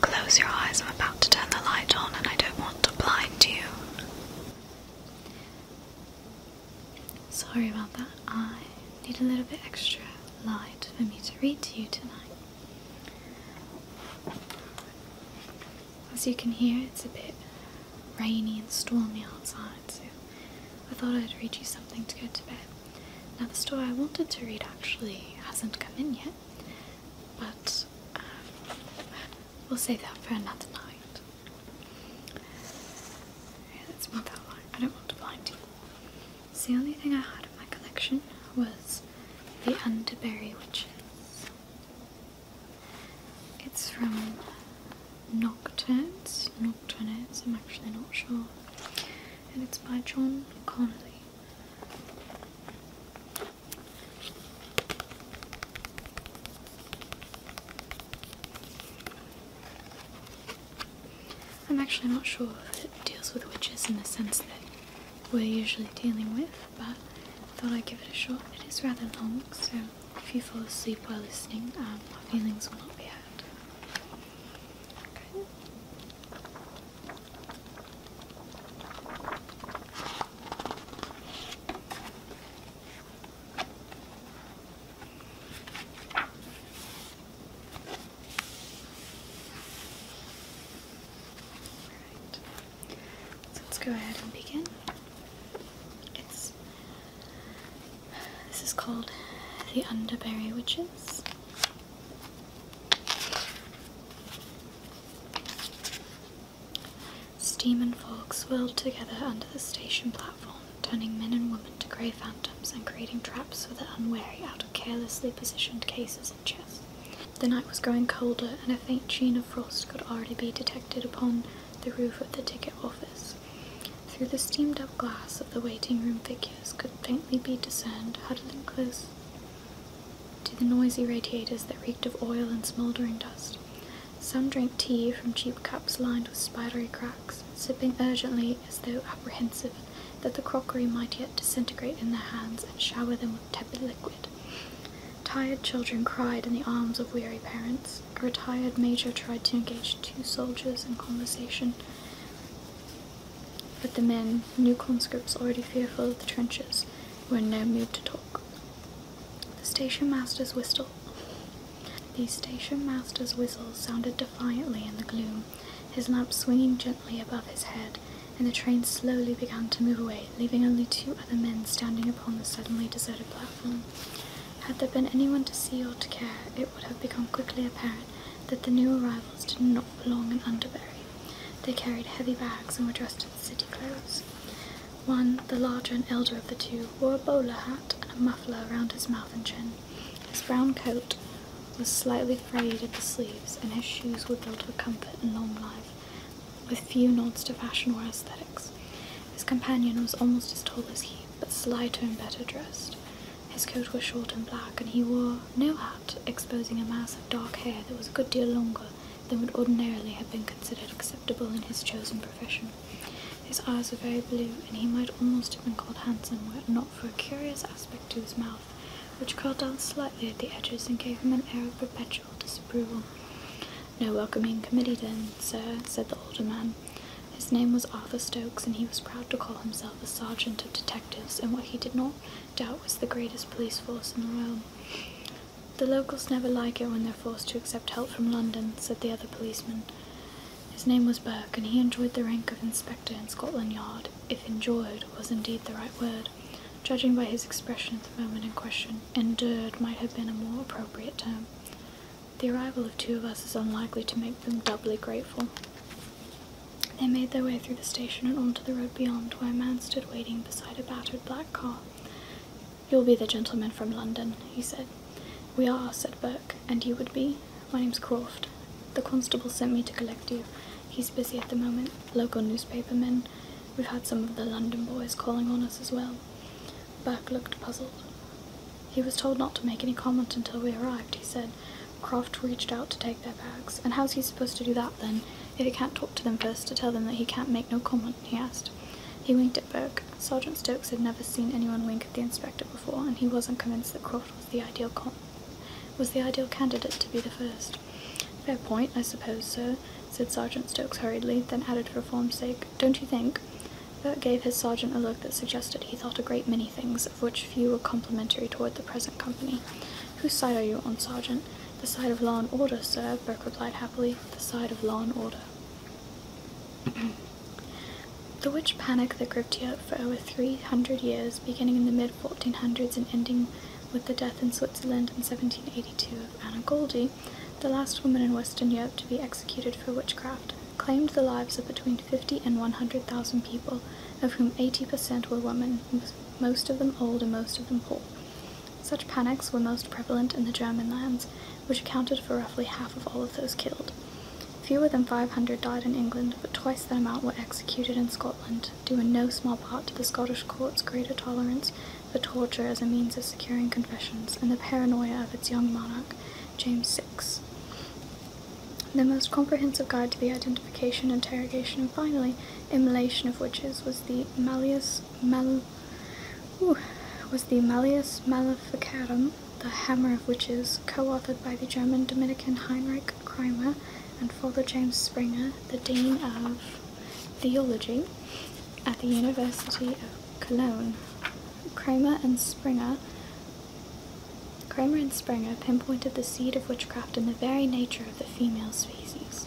Close your eyes, I'm about to turn the light on, and I don't want to blind you. Sorry about that, I need a little bit extra light for me to read to you tonight. As you can hear, it's a bit rainy and stormy outside, so I thought I'd read you something to go to bed. Now, the story I wanted to read actually hasn't come in yet, but um, we'll save that for another night. Yeah, that's not that I don't want to blind you. the only thing I had in my collection was the Underberry Witches. It's from Nocturnes. Nocturnes, I'm actually not sure. And it's by John Connolly. I'm actually not sure if it deals with witches in the sense that we're usually dealing with, but I thought I'd give it a shot. It is rather long, so if you fall asleep while listening, my um, feelings will not be hurt. Okay. So let's go ahead and begin. It's this is called The Underberry Witches. Steam and fog swirled together under the station platform, turning men and women to grey phantoms and creating traps for the unwary out of carelessly positioned cases and chests. The night was growing colder, and a faint sheen of frost could already be detected upon the roof of the ticket office. Through the steamed up glass of the waiting room figures could faintly be discerned, huddling close to the noisy radiators that reeked of oil and smouldering dust. Some drank tea from cheap cups lined with spidery cracks, sipping urgently as though apprehensive that the crockery might yet disintegrate in their hands and shower them with tepid liquid. Tired children cried in the arms of weary parents. A retired major tried to engage two soldiers in conversation. But the men, new conscripts already fearful of the trenches, were in no mood to talk. The station master's whistle. The station master's whistle sounded defiantly in the gloom, his lamp swinging gently above his head, and the train slowly began to move away, leaving only two other men standing upon the suddenly deserted platform. Had there been anyone to see or to care, it would have become quickly apparent that the new arrival did not belong in Underbury. They carried heavy bags and were dressed in city clothes. One, the larger and elder of the two, wore a bowler hat and a muffler around his mouth and chin. His brown coat was slightly frayed at the sleeves, and his shoes were built for comfort and long life, with few nods to fashion or aesthetics. His companion was almost as tall as he, but slighter and better dressed. His coat was short and black, and he wore no hat, exposing a mass of dark hair that was a good deal longer than would ordinarily have been considered acceptable in his chosen profession. His eyes were very blue, and he might almost have been called handsome were it not for a curious aspect to his mouth, which curled down slightly at the edges and gave him an air of perpetual disapproval. No welcoming committee then, sir, said the older man. His name was Arthur Stokes, and he was proud to call himself a sergeant of detectives, and what he did not Doubt was the greatest police force in the world. The locals never like it when they're forced to accept help from London, said the other policeman. His name was Burke, and he enjoyed the rank of inspector in Scotland Yard, if enjoyed was indeed the right word. Judging by his expression at the moment in question, endured might have been a more appropriate term. The arrival of two of us is unlikely to make them doubly grateful. They made their way through the station and onto the road beyond, where a man stood waiting beside a battered black car. You'll be the gentleman from London, he said. We are, said Burke, and you would be? My name's Croft. The constable sent me to collect you. He's busy at the moment, local newspaper men. We've had some of the London boys calling on us as well. Burke looked puzzled. He was told not to make any comment until we arrived, he said. Croft reached out to take their bags. And how's he supposed to do that then, if he can't talk to them first to tell them that he can't make no comment? he asked. He winked at Burke. Sergeant Stokes had never seen anyone wink at the inspector before, and he wasn't convinced that Croft was the ideal was the ideal candidate to be the first. Fair point, I suppose, sir, said Sergeant Stokes hurriedly, then added for form's sake, Don't you think? Burke gave his sergeant a look that suggested he thought a great many things, of which few were complimentary toward the present company. Whose side are you on, Sergeant? The side of law and order, sir, Burke replied happily. The side of law and order. the witch panic that gripped Europe for over 300 years, beginning in the mid-1400s and ending with the death in Switzerland in 1782 of Anna Goldie, the last woman in Western Europe to be executed for witchcraft, claimed the lives of between 50 and 100,000 people, of whom 80% were women, most of them old and most of them poor. Such panics were most prevalent in the German lands, which accounted for roughly half of all of those killed. Fewer than 500 died in England, but twice that amount were executed in Scotland, due in no small part to the Scottish court's greater tolerance for torture as a means of securing confessions and the paranoia of its young monarch, James VI. The most comprehensive guide to the identification, interrogation, and finally immolation of witches was the Malleus Mal was the Malleus Maleficarum, the Hammer of Witches, co-authored by the German Dominican Heinrich Kreimer and Father James Springer, the Dean of Theology at the University of Cologne. Kramer and Springer Kramer and Springer pinpointed the seed of witchcraft in the very nature of the female species.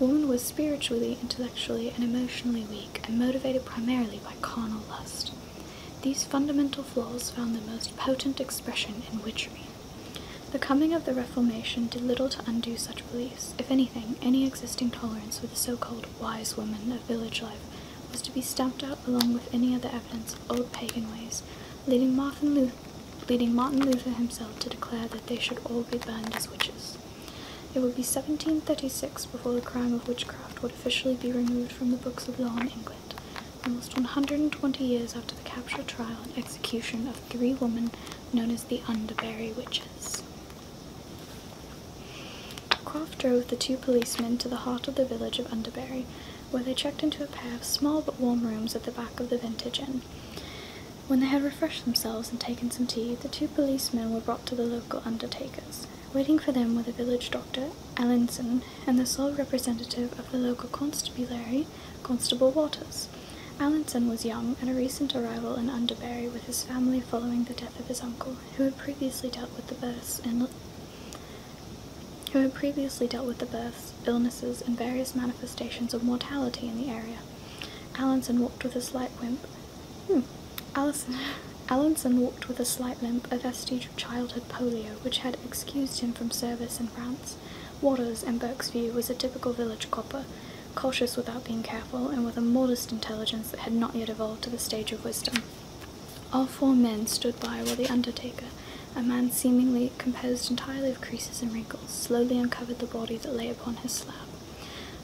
Woman was spiritually, intellectually, and emotionally weak, and motivated primarily by carnal lust. These fundamental flaws found their most potent expression in witchery. The coming of the Reformation did little to undo such beliefs. If anything, any existing tolerance for the so called wise women of village life was to be stamped out along with any other evidence of old pagan ways, leading Martin leading Martin Luther himself to declare that they should all be burned as witches. It would be 1736 before the crime of witchcraft would officially be removed from the books of law in England, almost 120 years after the capture, trial, and execution of three women known as the Underbury Witches. Croft drove the two policemen to the heart of the village of Underbury where they checked into a pair of small but warm rooms at the back of the vintage inn. When they had refreshed themselves and taken some tea, the two policemen were brought to the local undertakers. Waiting for them were the village doctor, Ellinson, and the sole representative of the local constabulary, Constable Waters. Allinson was young and a recent arrival in Underbury with his family following the death of his uncle, who had previously dealt with the births and who had previously dealt with the births, illnesses, and various manifestations of mortality in the area. Allenson walked with a slight limp. Hmm. Allenson walked with a slight limp, a vestige of childhood polio, which had excused him from service in France. Waters, in Burke's view, was a typical village copper, cautious without being careful, and with a modest intelligence that had not yet evolved to the stage of wisdom. All four men stood by while the undertaker, a man seemingly composed entirely of creases and wrinkles slowly uncovered the body that lay upon his slab.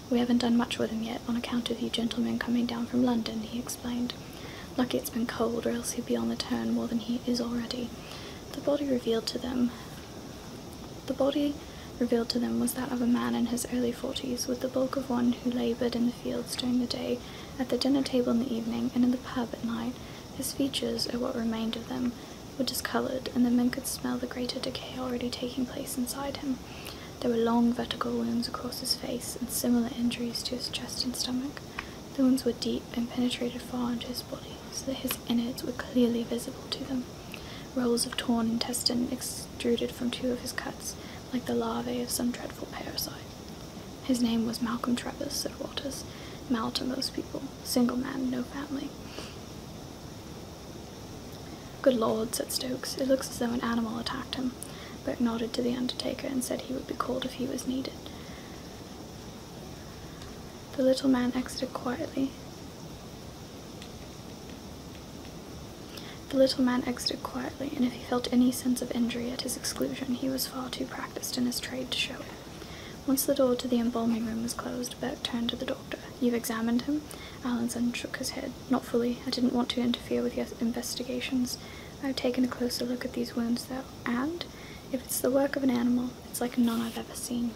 We haven't done much with him yet, on account of you gentlemen coming down from London, he explained. Lucky it's been cold, or else he'd be on the turn more than he is already. The body revealed to them the body revealed to them was that of a man in his early forties, with the bulk of one who laboured in the fields during the day, at the dinner table in the evening, and in the pub at night, his features, or what remained of them, were discoloured, and the men could smell the greater decay already taking place inside him. There were long vertical wounds across his face, and similar injuries to his chest and stomach. The wounds were deep and penetrated far into his body, so that his innards were clearly visible to them. Rolls of torn intestine extruded from two of his cuts, like the larvae of some dreadful parasite. His name was Malcolm Travers, said Walters. Mal to most people, Single man, no family. Good lord, said Stokes. It looks as though an animal attacked him. Burke nodded to the undertaker and said he would be called if he was needed. The little man exited quietly. The little man exited quietly, and if he felt any sense of injury at his exclusion, he was far too practiced in his trade to show it. Once the door to the embalming room was closed, Burke turned to the doctor. You've examined him? Allenson shook his head. Not fully. I didn't want to interfere with your investigations. I've taken a closer look at these wounds, though, and if it's the work of an animal, it's like none I've ever seen.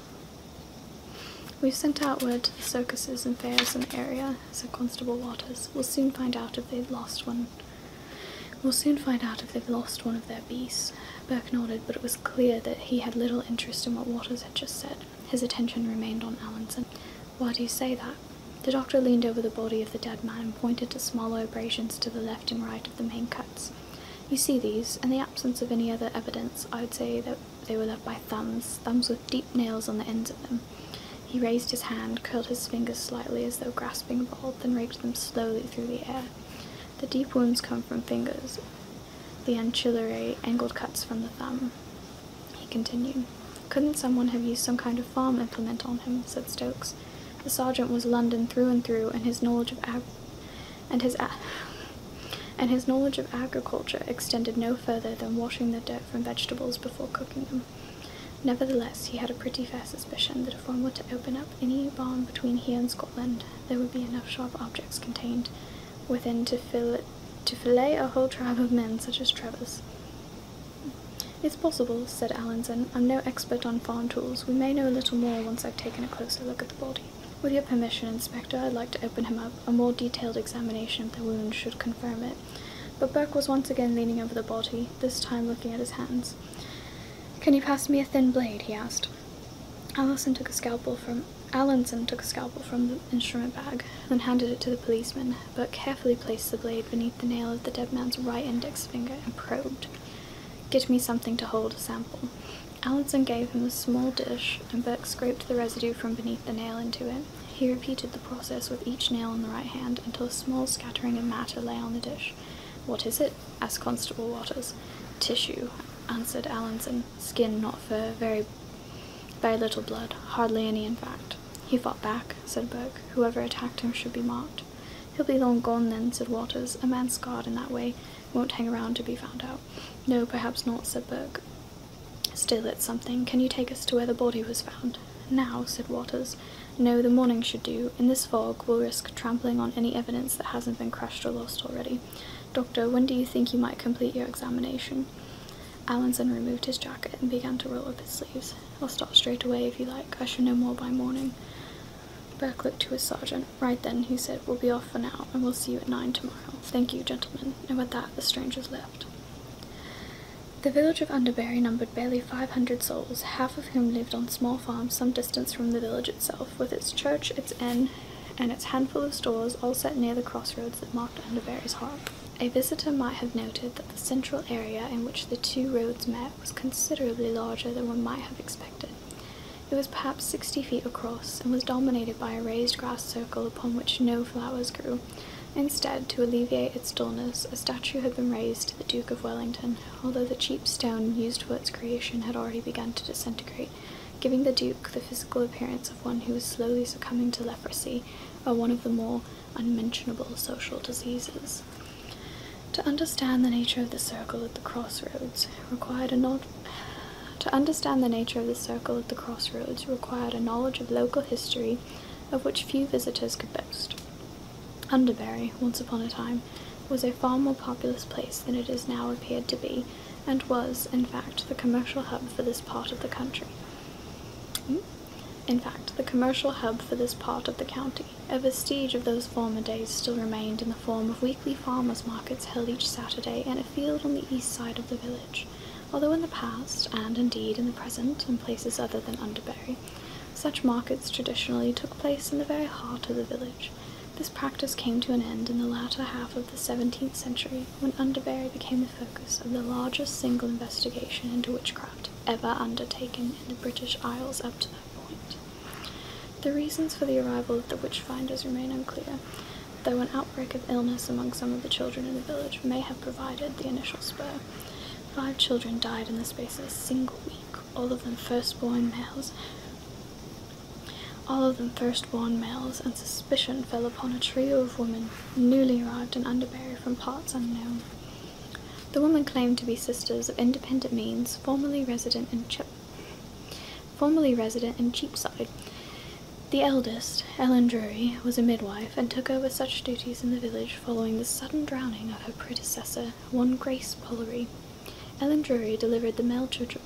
We've sent out word to the circuses and fairs in the area, said Constable Waters. We'll soon find out if they've lost one. We'll soon find out if they've lost one of their beasts. Burke nodded, but it was clear that he had little interest in what Waters had just said. His attention remained on Allanson. Why do you say that? The doctor leaned over the body of the dead man and pointed to smaller abrasions to the left and right of the main cuts. You see these, in the absence of any other evidence, I would say that they were left by thumbs, thumbs with deep nails on the ends of them. He raised his hand, curled his fingers slightly as though grasping a ball, then raked them slowly through the air. The deep wounds come from fingers, the ancillary angled cuts from the thumb. He continued. Couldn't someone have used some kind of farm implement on him? said Stokes. The sergeant was London through and through, and his knowledge of ag- and his a- and his knowledge of agriculture extended no further than washing the dirt from vegetables before cooking them. Nevertheless, he had a pretty fair suspicion that if one were to open up any bomb between here and Scotland, there would be enough sharp objects contained within to, to fillet a whole tribe of men such as Trevor's. It's possible, said Allinson. I'm no expert on farm tools. We may know a little more once I've taken a closer look at the body. With your permission, Inspector, I'd like to open him up. A more detailed examination of the wound should confirm it. But Burke was once again leaning over the body, this time looking at his hands. Can you pass me a thin blade? he asked. Allison took a scalpel from Allenson took a scalpel from the instrument bag, then handed it to the policeman, but carefully placed the blade beneath the nail of the dead man's right index finger and probed. Get me something to hold a sample. Allenson gave him a small dish, and Burke scraped the residue from beneath the nail into it. He repeated the process with each nail in the right hand until a small scattering of matter lay on the dish. What is it? asked Constable Waters. Tissue, answered Allinson. Skin, not fur, very, very little blood, hardly any in fact. He fought back, said Burke. Whoever attacked him should be marked. He'll be long gone then, said Waters. A man scarred in that way won't hang around to be found out. No, perhaps not, said Burke. Still, it's something. Can you take us to where the body was found? Now, said Waters. No, the morning should do. In this this fog will risk trampling on any evidence that hasn't been crushed or lost already. Doctor, when do you think you might complete your examination? Allenson removed his jacket and began to roll up his sleeves. I'll start straight away if you like. I should know more by morning. Burke looked to his sergeant. Right then, he said, we'll be off for now, and we'll see you at nine tomorrow. Thank you, gentlemen. And with that, the strangers left. The village of Underbury numbered barely 500 souls, half of whom lived on small farms some distance from the village itself with its church, its inn, and its handful of stores all set near the crossroads that marked Underbury's heart, A visitor might have noted that the central area in which the two roads met was considerably larger than one might have expected. It was perhaps sixty feet across and was dominated by a raised grass circle upon which no flowers grew. Instead, to alleviate its dullness, a statue had been raised to the Duke of Wellington, although the cheap stone used for its creation had already begun to disintegrate, giving the Duke the physical appearance of one who was slowly succumbing to leprosy, or one of the more unmentionable social diseases. To understand the nature of the circle at the crossroads required a not to understand the nature of the circle at the crossroads required a knowledge of local history of which few visitors could boast. Underbury, once upon a time, was a far more populous place than it is now appeared to be, and was, in fact, the commercial hub for this part of the country. In fact, the commercial hub for this part of the county. A vestige of those former days still remained in the form of weekly farmers' markets held each Saturday in a field on the east side of the village, although in the past, and indeed in the present, in places other than Underbury, such markets traditionally took place in the very heart of the village, this practice came to an end in the latter half of the 17th century when Underbury became the focus of the largest single investigation into witchcraft ever undertaken in the British Isles up to that point. The reasons for the arrival of the witch finders remain unclear, though an outbreak of illness among some of the children in the village may have provided the initial spur. Five children died in the space of a single week, all of them firstborn males, all of them first-born males, and suspicion fell upon a trio of women newly arrived in Underbury from parts unknown. The women claimed to be sisters of independent means, formerly resident in Chip, formerly resident in Cheapside. The eldest, Ellen Drury, was a midwife and took over such duties in the village following the sudden drowning of her predecessor, one Grace Pollery, Ellen Drury delivered the male children.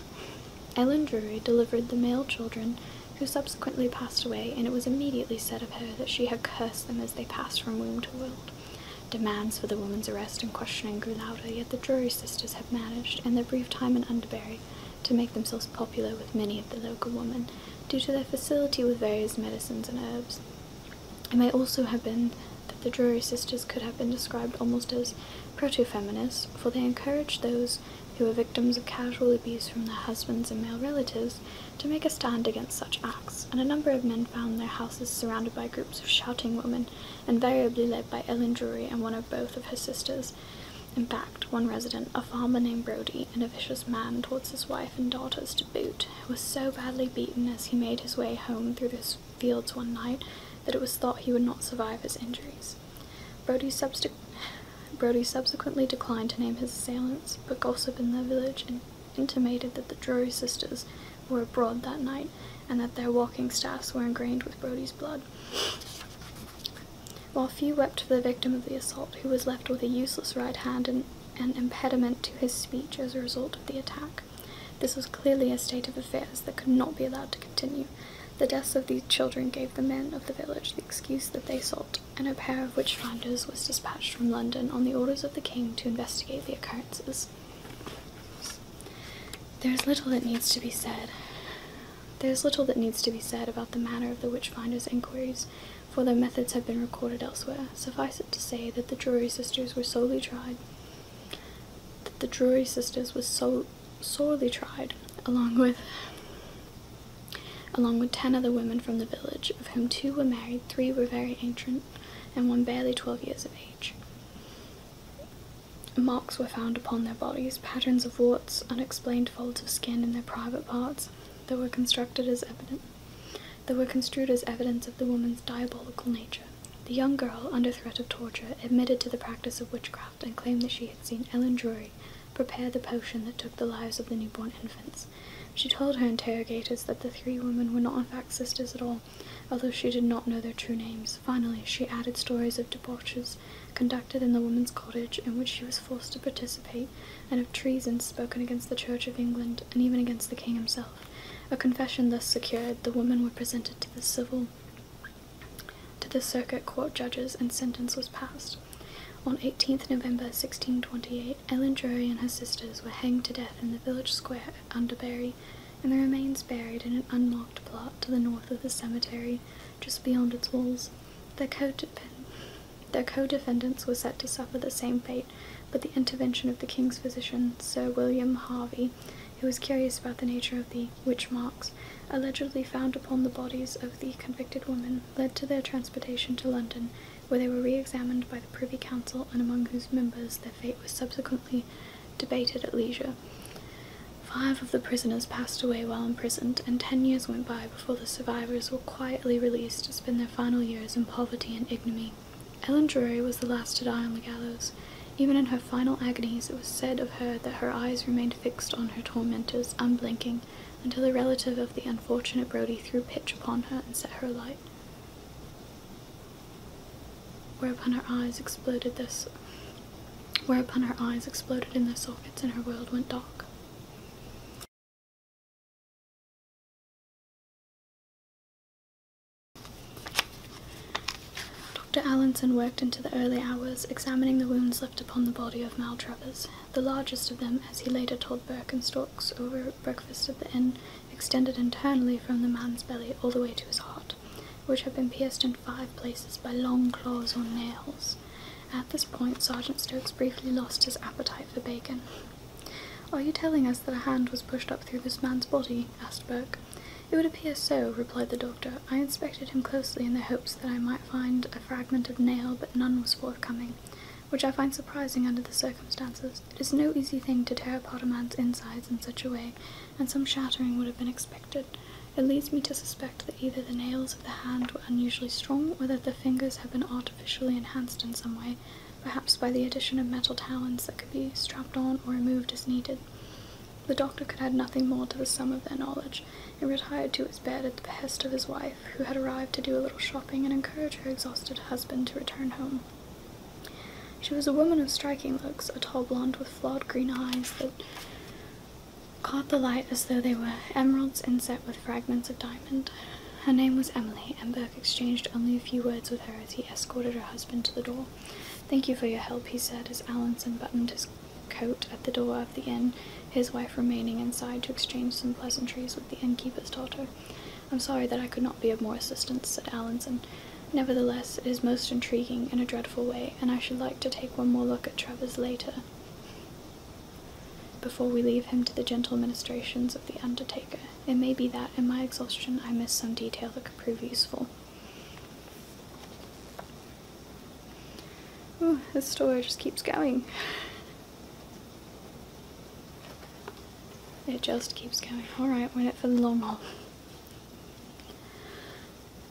Ellen Drury delivered the male children, who subsequently passed away, and it was immediately said of her that she had cursed them as they passed from womb to world. Demands for the woman's arrest and questioning grew louder, yet the Drury sisters have managed, in their brief time in Underbury, to make themselves popular with many of the local women, due to their facility with various medicines and herbs. It may also have been the Drury sisters could have been described almost as proto-feminists, for they encouraged those who were victims of casual abuse from their husbands and male relatives to make a stand against such acts, and a number of men found their houses surrounded by groups of shouting women, invariably led by Ellen Drury and one or both of her sisters. In fact, one resident, a farmer named Brodie, and a vicious man towards his wife and daughters to boot, was so badly beaten as he made his way home through this fields one night that it was thought he would not survive his injuries. Brodie subsequ Brody subsequently declined to name his assailants, but gossip in the village intimated that the Drury sisters were abroad that night and that their walking staffs were ingrained with Brodie's blood. While few wept for the victim of the assault, who was left with a useless right hand and an impediment to his speech as a result of the attack, this was clearly a state of affairs that could not be allowed to continue. The deaths of these children gave the men of the village the excuse that they sought, and a pair of witch finders was dispatched from London on the orders of the king to investigate the occurrences. There is little that needs to be said. There is little that needs to be said about the manner of the witch finders' inquiries, for their methods have been recorded elsewhere. Suffice it to say that the Drury sisters were solely tried that the Drury sisters was so sorely tried, along with along with ten other women from the village, of whom two were married, three were very ancient, and one barely twelve years of age. Marks were found upon their bodies, patterns of warts, unexplained folds of skin in their private parts, that were constructed as evident that were construed as evidence of the woman's diabolical nature. The young girl, under threat of torture, admitted to the practice of witchcraft and claimed that she had seen Ellen Drury prepare the potion that took the lives of the newborn infants. She told her interrogators that the three women were not in fact sisters at all, although she did not know their true names. Finally, she added stories of debauches conducted in the woman's cottage, in which she was forced to participate, and of treason spoken against the Church of England and even against the king himself. A confession thus secured, the women were presented to the civil to the circuit court judges and sentence was passed. On 18th November 1628, Ellen Drury and her sisters were hanged to death in the village square at Underbury, and the remains buried in an unmarked plot to the north of the cemetery, just beyond its walls. their co-defendants were set to suffer the same fate, but the intervention of the king's physician, Sir William Harvey, who was curious about the nature of the witch marks allegedly found upon the bodies of the convicted women, led to their transportation to London, where they were re examined by the Privy Council and among whose members their fate was subsequently debated at leisure. Five of the prisoners passed away while imprisoned, and ten years went by before the survivors were quietly released to spend their final years in poverty and ignominy. Ellen Drury was the last to die on the gallows. Even in her final agonies, it was said of her that her eyes remained fixed on her tormentors, unblinking, until a relative of the unfortunate Brodie threw pitch upon her and set her alight. Whereupon her eyes exploded Thus. whereupon her eyes exploded in their sockets and her world went dark. Dr. Allenson worked into the early hours, examining the wounds left upon the body of Maltravers. The largest of them, as he later told Stokes over breakfast at the inn, extended internally from the man's belly all the way to his heart, which had been pierced in five places by long claws or nails. At this point, Sergeant Stokes briefly lost his appetite for bacon. Are you telling us that a hand was pushed up through this man's body? asked Burke. It would appear so, replied the doctor. I inspected him closely in the hopes that I might find a fragment of nail, but none was forthcoming, which I find surprising under the circumstances. It is no easy thing to tear apart a man's insides in such a way, and some shattering would have been expected. It leads me to suspect that either the nails of the hand were unusually strong, or that the fingers have been artificially enhanced in some way, perhaps by the addition of metal talons that could be strapped on or removed as needed. The doctor could add nothing more to the sum of their knowledge, and retired to his bed at the behest of his wife, who had arrived to do a little shopping and encourage her exhausted husband to return home. She was a woman of striking looks, a tall blonde with flawed green eyes that caught the light as though they were emeralds inset with fragments of diamond. Her name was Emily, and Burke exchanged only a few words with her as he escorted her husband to the door. Thank you for your help, he said as Allens buttoned his coat at the door of the inn, his wife remaining inside to exchange some pleasantries with the innkeeper's daughter. I'm sorry that I could not be of more assistance, said Allinson. Nevertheless, it is most intriguing in a dreadful way, and I should like to take one more look at Trevor's later before we leave him to the gentle ministrations of the undertaker. It may be that, in my exhaustion, I missed some detail that could prove useful this story just keeps going. It just keeps going. Alright, went it for the long haul.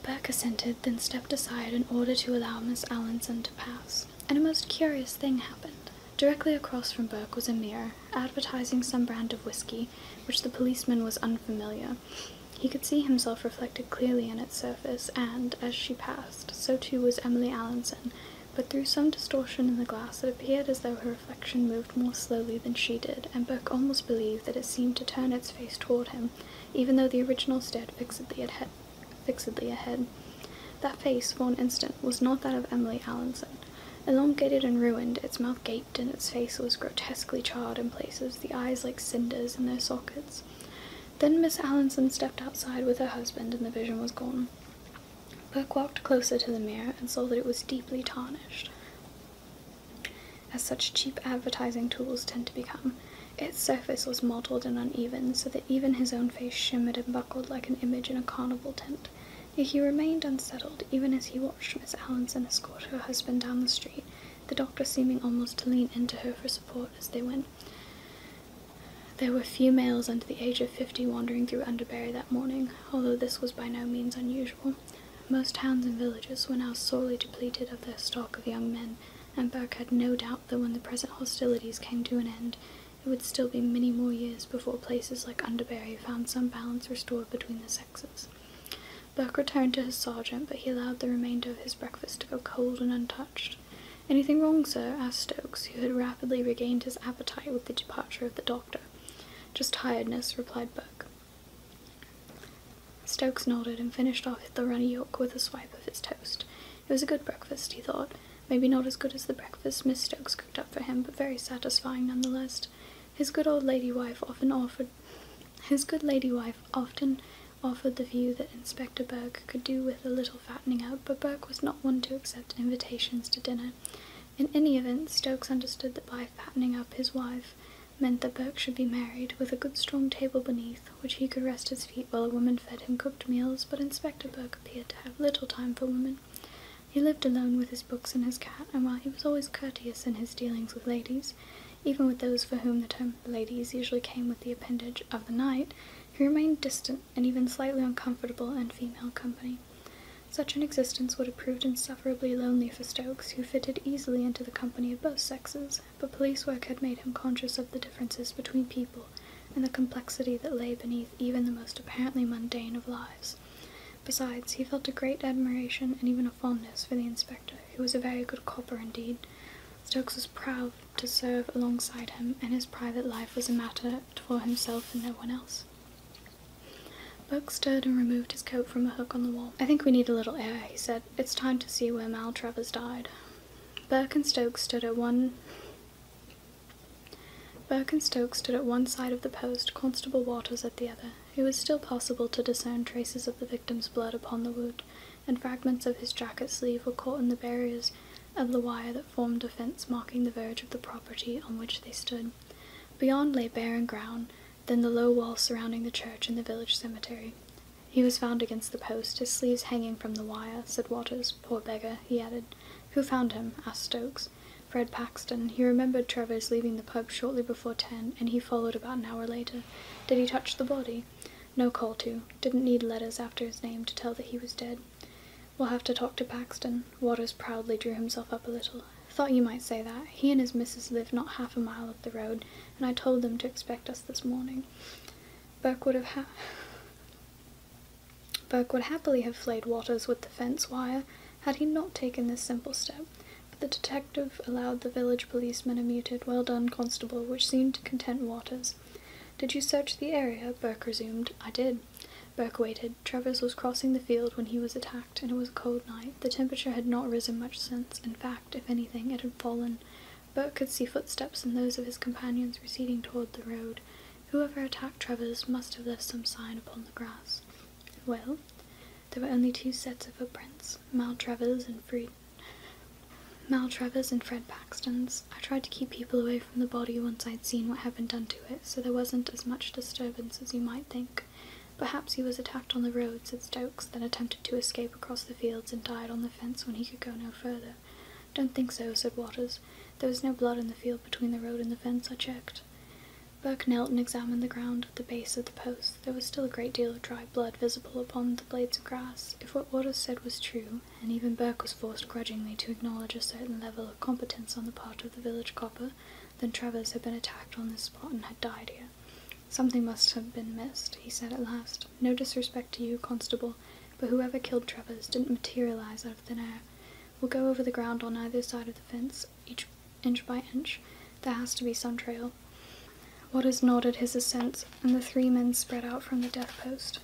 Burke assented, then stepped aside in order to allow Miss Allinson to pass. And a most curious thing happened. Directly across from Burke was a mirror, advertising some brand of whiskey, which the policeman was unfamiliar, he could see himself reflected clearly in its surface, and, as she passed, so too was Emily Allinson, but through some distortion in the glass it appeared as though her reflection moved more slowly than she did, and Burke almost believed that it seemed to turn its face toward him, even though the original stared fixedly ahead. Fixedly ahead. That face, for an instant, was not that of Emily Allinson. Elongated and ruined, its mouth gaped and its face was grotesquely charred in places, the eyes like cinders in their sockets. Then Miss Allinson stepped outside with her husband, and the vision was gone. Burke walked closer to the mirror and saw that it was deeply tarnished, as such cheap advertising tools tend to become. Its surface was mottled and uneven, so that even his own face shimmered and buckled like an image in a carnival tent. Yet he remained unsettled, even as he watched Miss Allinson escort her husband down the street the doctor seeming almost to lean into her for support as they went. There were few males under the age of fifty wandering through Underbury that morning, although this was by no means unusual. Most towns and villages were now sorely depleted of their stock of young men, and Burke had no doubt that when the present hostilities came to an end, it would still be many more years before places like Underbury found some balance restored between the sexes. Buck returned to his sergeant, but he allowed the remainder of his breakfast to go cold and untouched. Anything wrong, sir? asked Stokes, who had rapidly regained his appetite with the departure of the doctor. Just tiredness, replied Buck. Stokes nodded and finished off the runny yolk with a swipe of his toast. It was a good breakfast, he thought. Maybe not as good as the breakfast Miss Stokes cooked up for him, but very satisfying none the less. His good old lady wife often offered his good lady wife often offered the view that Inspector Burke could do with a little fattening up, but Burke was not one to accept invitations to dinner. In any event, Stokes understood that by fattening up his wife meant that Burke should be married, with a good strong table beneath, which he could rest his feet while a woman fed him cooked meals, but Inspector Burke appeared to have little time for women. He lived alone with his books and his cat, and while he was always courteous in his dealings with ladies, even with those for whom the term ladies usually came with the appendage of the knight, he remained distant and even slightly uncomfortable in female company. Such an existence would have proved insufferably lonely for Stokes, who fitted easily into the company of both sexes, but police work had made him conscious of the differences between people and the complexity that lay beneath even the most apparently mundane of lives. Besides, he felt a great admiration and even a fondness for the inspector he was a very good copper indeed. Stokes was proud to serve alongside him, and his private life was a matter for himself and no one else. Burke stood and removed his coat from a hook on the wall. I think we need a little air, he said. It's time to see where Maltravers died. Burke and Stokes stood at one Burke and Stokes stood at one side of the post, Constable Waters at the other. It was still possible to discern traces of the victim's blood upon the wood, and fragments of his jacket sleeve were caught in the barriers of the wire that formed a fence marking the verge of the property on which they stood. Beyond lay barren ground, then the low wall surrounding the church and the village cemetery. He was found against the post, his sleeves hanging from the wire, said Waters. Poor beggar, he added. Who found him? asked Stokes. Fred Paxton. He remembered Travers leaving the pub shortly before ten, and he followed about an hour later. Did he touch the body? No call to. Didn't need letters after his name to tell that he was dead. We'll have to talk to Paxton. Waters proudly drew himself up a little. Thought you might say that. He and his missus live not half a mile up the road, and I told them to expect us this morning. Burke would have ha- Burke would happily have flayed Waters with the fence wire, had he not taken this simple step. But the detective allowed the village policeman a muted, well done, constable, which seemed to content Waters. Did you search the area? Burke resumed. I did. Burke waited. Travers was crossing the field when he was attacked, and it was a cold night. The temperature had not risen much since. In fact, if anything, it had fallen. Burke could see footsteps and those of his companions receding toward the road. Whoever attacked Travers must have left some sign upon the grass. Well, there were only two sets of footprints. Mal Maltravers and Fred. Mal Maltravers and Fred Paxtons. I tried to keep people away from the body once I'd seen what had been done to it, so there wasn't as much disturbance as you might think. Perhaps he was attacked on the road, said Stokes, then attempted to escape across the fields and died on the fence when he could go no further. Don't think so, said Waters. There was no blood in the field between the road and the fence, I checked. Burke knelt and examined the ground at the base of the post. There was still a great deal of dry blood visible upon the blades of grass. If what Waters said was true, and even Burke was forced grudgingly to acknowledge a certain level of competence on the part of the village copper, then Travers had been attacked on this spot and had died here. Something must have been missed, he said at last. No disrespect to you, Constable, but whoever killed Travers didn't materialize out of thin air. We'll go over the ground on either side of the fence, each inch by inch. There has to be some trail. Waters nodded his assent, and the three men spread out from the death post.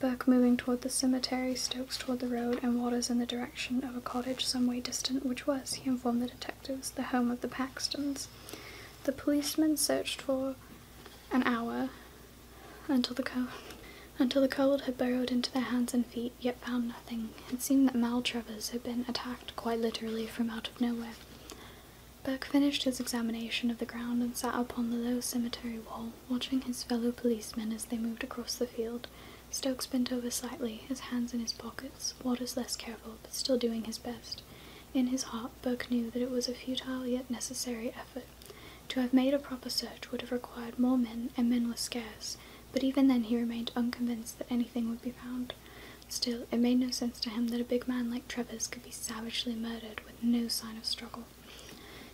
Burke moving toward the cemetery, Stokes toward the road, and Waters in the direction of a cottage some way distant, which was, he informed the detectives, the home of the Paxtons. The policemen searched for an hour until the cold, until the cold had burrowed into their hands and feet, yet found nothing had seemed that Maltravers had been attacked quite literally from out of nowhere. Burke finished his examination of the ground and sat upon the low cemetery wall, watching his fellow policemen as they moved across the field. Stokes bent over slightly, his hands in his pockets, Waters less careful, but still doing his best. In his heart, Burke knew that it was a futile yet necessary effort. To have made a proper search would have required more men, and men were scarce, but even then he remained unconvinced that anything would be found. Still, it made no sense to him that a big man like Trevor's could be savagely murdered with no sign of struggle.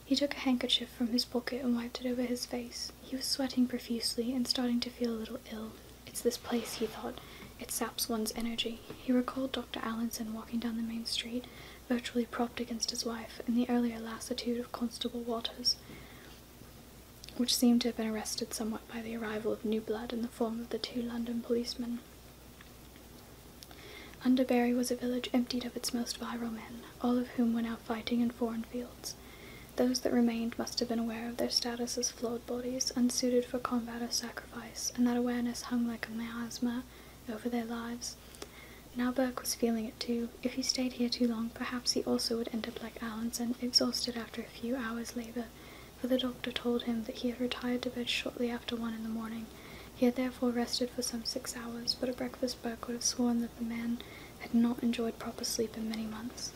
He took a handkerchief from his pocket and wiped it over his face. He was sweating profusely and starting to feel a little ill. It's this place, he thought. It saps one's energy. He recalled Dr. Allinson walking down the main street, virtually propped against his wife, in the earlier lassitude of Constable Waters which seemed to have been arrested somewhat by the arrival of new blood in the form of the two London policemen. Underbury was a village emptied of its most virile men, all of whom were now fighting in foreign fields. Those that remained must have been aware of their status as flawed bodies, unsuited for combat or sacrifice, and that awareness hung like a miasma over their lives. Now Burke was feeling it too. If he stayed here too long, perhaps he also would end up like Allenson, exhausted after a few hours' labor, for the doctor told him that he had retired to bed shortly after one in the morning. He had therefore rested for some six hours, but a breakfast Burke would have sworn that the man had not enjoyed proper sleep in many months.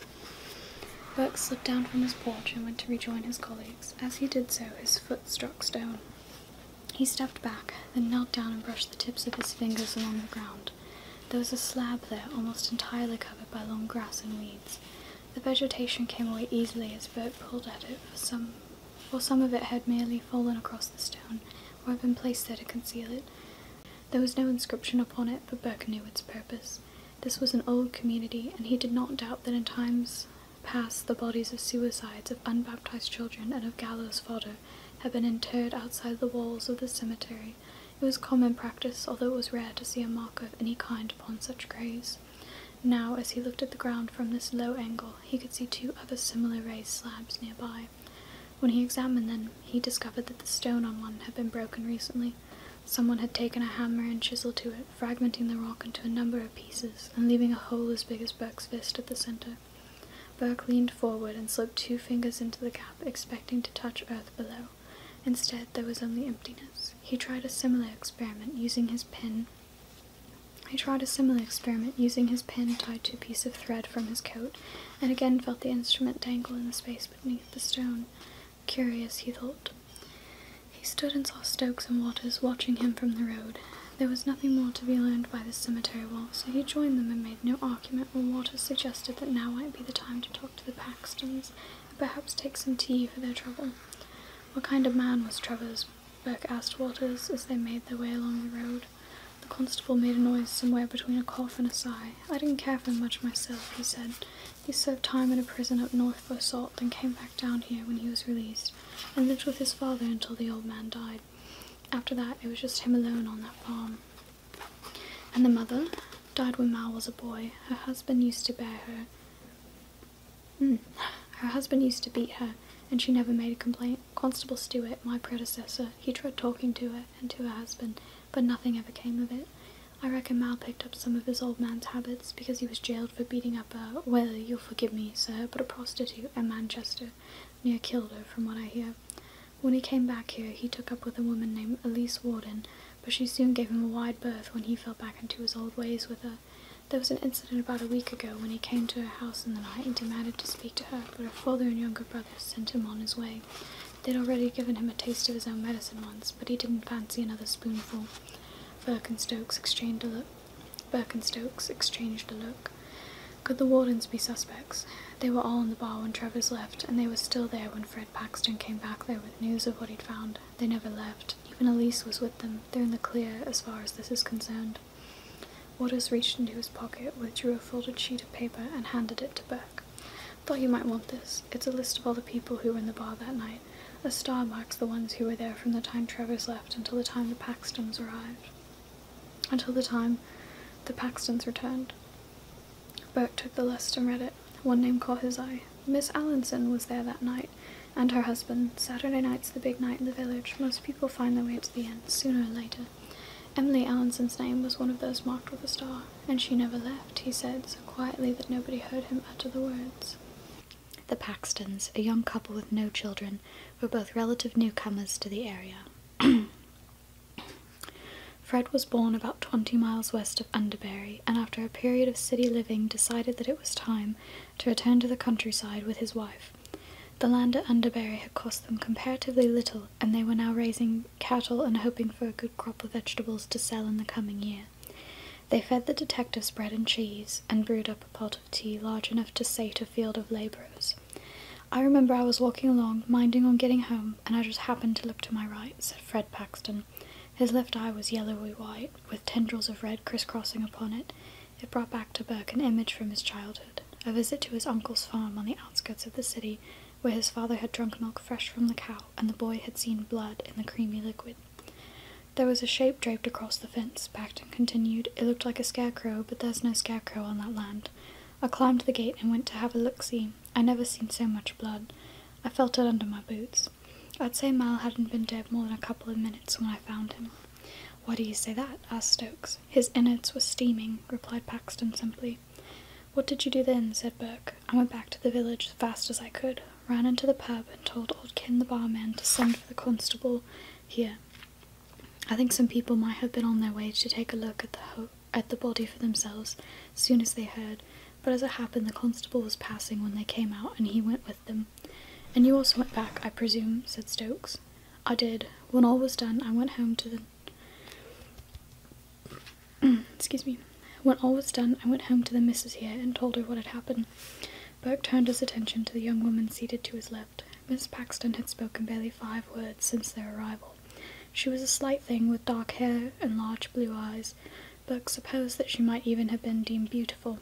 Burke slipped down from his porch and went to rejoin his colleagues. As he did so, his foot struck stone. He stepped back, then knelt down and brushed the tips of his fingers along the ground. There was a slab there, almost entirely covered by long grass and weeds. The vegetation came away easily as Bert pulled at it, for some, for some of it had merely fallen across the stone, or had been placed there to conceal it. There was no inscription upon it, but Burke knew its purpose. This was an old community, and he did not doubt that in times past the bodies of suicides, of unbaptized children, and of gallows fodder had been interred outside the walls of the cemetery, it was common practice, although it was rare to see a mark of any kind upon such graves. Now, as he looked at the ground from this low angle, he could see two other similar raised slabs nearby. When he examined them, he discovered that the stone on one had been broken recently. Someone had taken a hammer and chisel to it, fragmenting the rock into a number of pieces and leaving a hole as big as Burke's fist at the center. Burke leaned forward and slipped two fingers into the gap, expecting to touch earth below. Instead, there was only emptiness. He tried a similar experiment using his pen. He tried a similar experiment using his pen tied to a piece of thread from his coat, and again felt the instrument dangle in the space beneath the stone. Curious, he thought. He stood and saw Stokes and Waters watching him from the road. There was nothing more to be learned by this cemetery wall, so he joined them and made no argument when Waters suggested that now might be the time to talk to the Paxtons perhaps take some tea for their trouble. What kind of man was Trevor's? Burke asked Walters as they made their way along the road. The constable made a noise somewhere between a cough and a sigh. I didn't care for him much myself, he said. He served time in a prison up north for assault, then came back down here when he was released, and lived with his father until the old man died. After that, it was just him alone on that farm. And the mother? died when Mal was a boy. Her husband used to bear her. Hmm. Her husband used to beat her, and she never made a complaint. Constable Stewart, my predecessor, he tried talking to her and to her husband, but nothing ever came of it. I reckon Mal picked up some of his old man's habits because he was jailed for beating up a, well, you'll forgive me, sir, but a prostitute in Manchester, near Kilda, from what I hear. When he came back here, he took up with a woman named Elise Warden, but she soon gave him a wide berth when he fell back into his old ways with her. There was an incident about a week ago when he came to her house in the night and demanded to speak to her, but her father and younger brother sent him on his way. They'd already given him a taste of his own medicine once, but he didn't fancy another spoonful. Birkenstokes exchanged a look. Birkenstokes exchanged a look. Could the Wardens be suspects? They were all in the bar when Trevor's left, and they were still there when Fred Paxton came back there with news of what he'd found. They never left. Even Elise was with them. They're in the clear as far as this is concerned. Waters reached into his pocket, withdrew a folded sheet of paper, and handed it to Burke. Thought you might want this. It's a list of all the people who were in the bar that night. A star marks the ones who were there from the time Trevor's left until the time the Paxtons arrived. Until the time the Paxtons returned. Bert took the list and read it. One name caught his eye. Miss Allinson was there that night, and her husband. Saturday night's the big night in the village. Most people find their way to the inn, sooner or later. Emily Allinson's name was one of those marked with a star, and she never left, he said, so quietly that nobody heard him utter the words. The Paxtons, a young couple with no children, were both relative newcomers to the area. Fred was born about 20 miles west of Underbury and after a period of city living decided that it was time to return to the countryside with his wife. The land at Underbury had cost them comparatively little and they were now raising cattle and hoping for a good crop of vegetables to sell in the coming year. They fed the detectives bread and cheese and brewed up a pot of tea large enough to sate a field of labourers. I remember I was walking along, minding on getting home, and I just happened to look to my right, said Fred Paxton. His left eye was yellowy white, with tendrils of red crisscrossing upon it. It brought back to Burke an image from his childhood a visit to his uncle's farm on the outskirts of the city, where his father had drunk milk fresh from the cow, and the boy had seen blood in the creamy liquid. There was a shape draped across the fence, Paxton continued. It looked like a scarecrow, but there's no scarecrow on that land. I climbed the gate and went to have a look see. I never seen so much blood. I felt it under my boots. I'd say Mal hadn't been dead more than a couple of minutes when I found him. Why do you say that? asked Stokes. His innards were steaming, replied Paxton simply. What did you do then? said Burke. I went back to the village as fast as I could, ran into the pub, and told old Kin, the barman to send for the constable here. I think some people might have been on their way to take a look at the at the body for themselves. as Soon as they heard but as it happened, the constable was passing when they came out, and he went with them. And you also went back, I presume, said Stokes. I did. When all was done, I went home to the. Excuse me. When all was done, I went home to the missus here and told her what had happened. Burke turned his attention to the young woman seated to his left. Miss Paxton had spoken barely five words since their arrival. She was a slight thing with dark hair and large blue eyes. Look, suppose that she might even have been deemed beautiful.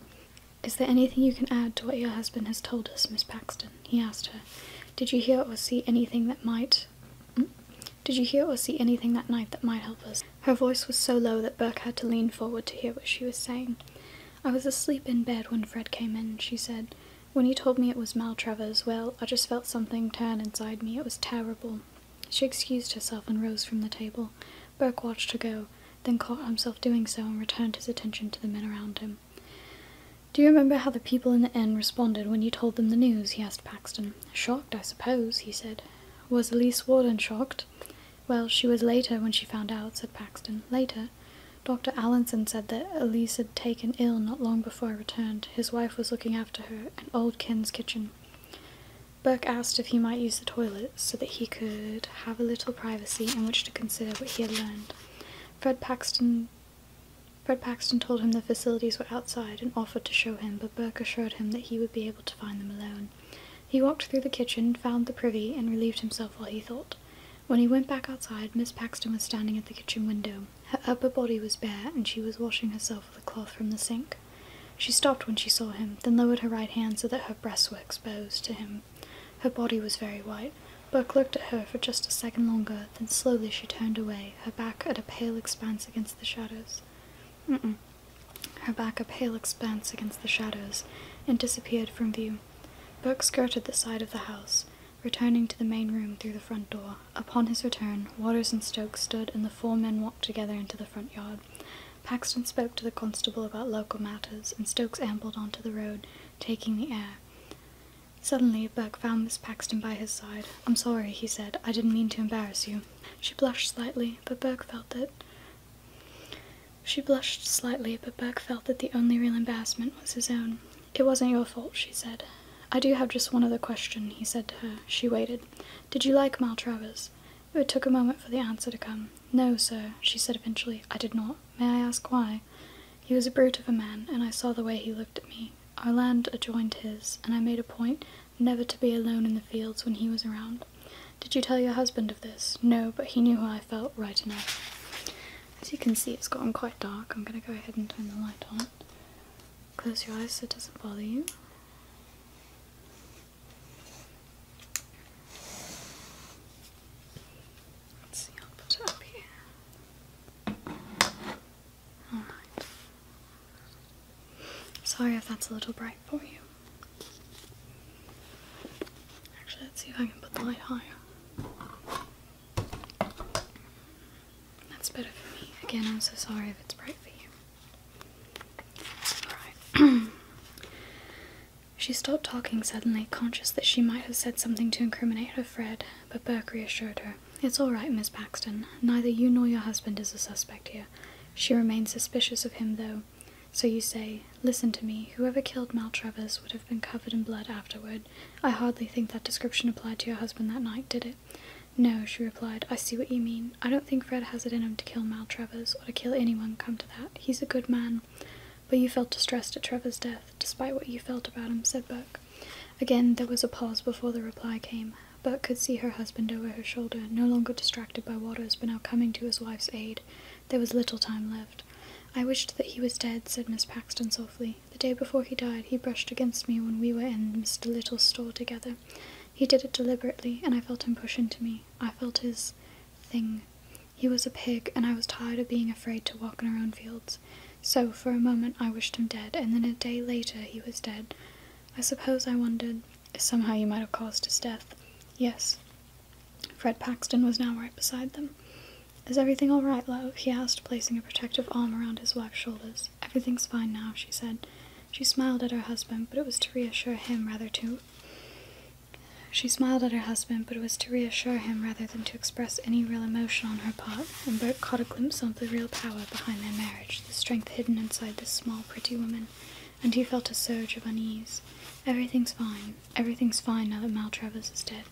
Is there anything you can add to what your husband has told us, Miss Paxton? he asked her. Did you hear or see anything that might. Hmm? Did you hear or see anything that night that might help us? Her voice was so low that Burke had to lean forward to hear what she was saying. I was asleep in bed when Fred came in, she said. When he told me it was Maltravers, well, I just felt something turn inside me. It was terrible. She excused herself and rose from the table. Burke watched her go, then caught himself doing so and returned his attention to the men around him. Do you remember how the people in the inn responded when you told them the news? he asked Paxton. Shocked, I suppose, he said. Was Elise Warden shocked? Well, she was later when she found out, said Paxton. Later. Dr. Allinson said that Elise had taken ill not long before I returned. His wife was looking after her in old Ken's kitchen. Burke asked if he might use the toilet so that he could have a little privacy in which to consider what he had learned. Fred Paxton Fred Paxton told him the facilities were outside and offered to show him, but Burke assured him that he would be able to find them alone. He walked through the kitchen, found the privy, and relieved himself while he thought. When he went back outside, Miss Paxton was standing at the kitchen window. Her upper body was bare, and she was washing herself with a cloth from the sink. She stopped when she saw him, then lowered her right hand so that her breasts were exposed to him. Her body was very white. Burke looked at her for just a second longer, then slowly she turned away, her back a pale expanse against the shadows. Mm -mm. Her back a pale expanse against the shadows, and disappeared from view. Burke skirted the side of the house, returning to the main room through the front door. Upon his return, Waters and Stokes stood, and the four men walked together into the front yard. Paxton spoke to the constable about local matters, and Stokes ambled onto the road, taking the air. Suddenly, Burke found Miss Paxton by his side. I'm sorry, he said. I didn't mean to embarrass you. She blushed slightly, but Burke felt it. She blushed slightly, but Burke felt that the only real embarrassment was his own. It wasn't your fault, she said. I do have just one other question, he said to her. She waited. Did you like Maltravers? it took a moment for the answer to come. No, sir, she said eventually. I did not. May I ask why? He was a brute of a man, and I saw the way he looked at me. Our land adjoined his, and I made a point never to be alone in the fields when he was around. Did you tell your husband of this? No, but he knew how I felt right enough. As you can see, it's gotten quite dark. I'm going to go ahead and turn the light on. Close your eyes so it doesn't bother you. Let's see, I'll put up here. Alright. Sorry if that's a little bright for you. Actually, let's see if I can put the light higher. That's better for me. Again, I'm so sorry if it's bright for you. she stopped talking suddenly, conscious that she might have said something to incriminate her Fred, but Burke reassured her. It's all right, Miss Paxton. Neither you nor your husband is a suspect here. She remains suspicious of him, though. So you say, listen to me, whoever killed Maltravers would have been covered in blood afterward. I hardly think that description applied to your husband that night, did it? No, she replied. I see what you mean. I don't think Fred has it in him to kill Maltravers, or to kill anyone, come to that. He's a good man. But you felt distressed at Trevor's death, despite what you felt about him, said Buck. Again, there was a pause before the reply came. Burke could see her husband over her shoulder, no longer distracted by Waters, but now coming to his wife's aid. There was little time left. I wished that he was dead, said Miss Paxton softly. The day before he died, he brushed against me when we were in Mr. Little's store together. He did it deliberately, and I felt him push into me. I felt his thing. He was a pig, and I was tired of being afraid to walk in our own fields. So, for a moment, I wished him dead, and then a day later he was dead. I suppose I wondered if somehow you might have caused his death. Yes. Fred Paxton was now right beside them. Is everything all right, love? he asked, placing a protective arm around his wife's shoulders. Everything's fine now, she said. She smiled at her husband, but it was to reassure him rather to. She smiled at her husband, but it was to reassure him rather than to express any real emotion on her part, and Bert caught a glimpse of the real power behind their marriage, the strength hidden inside this small, pretty woman, and he felt a surge of unease. Everything's fine. Everything's fine now that Mal Travers is dead.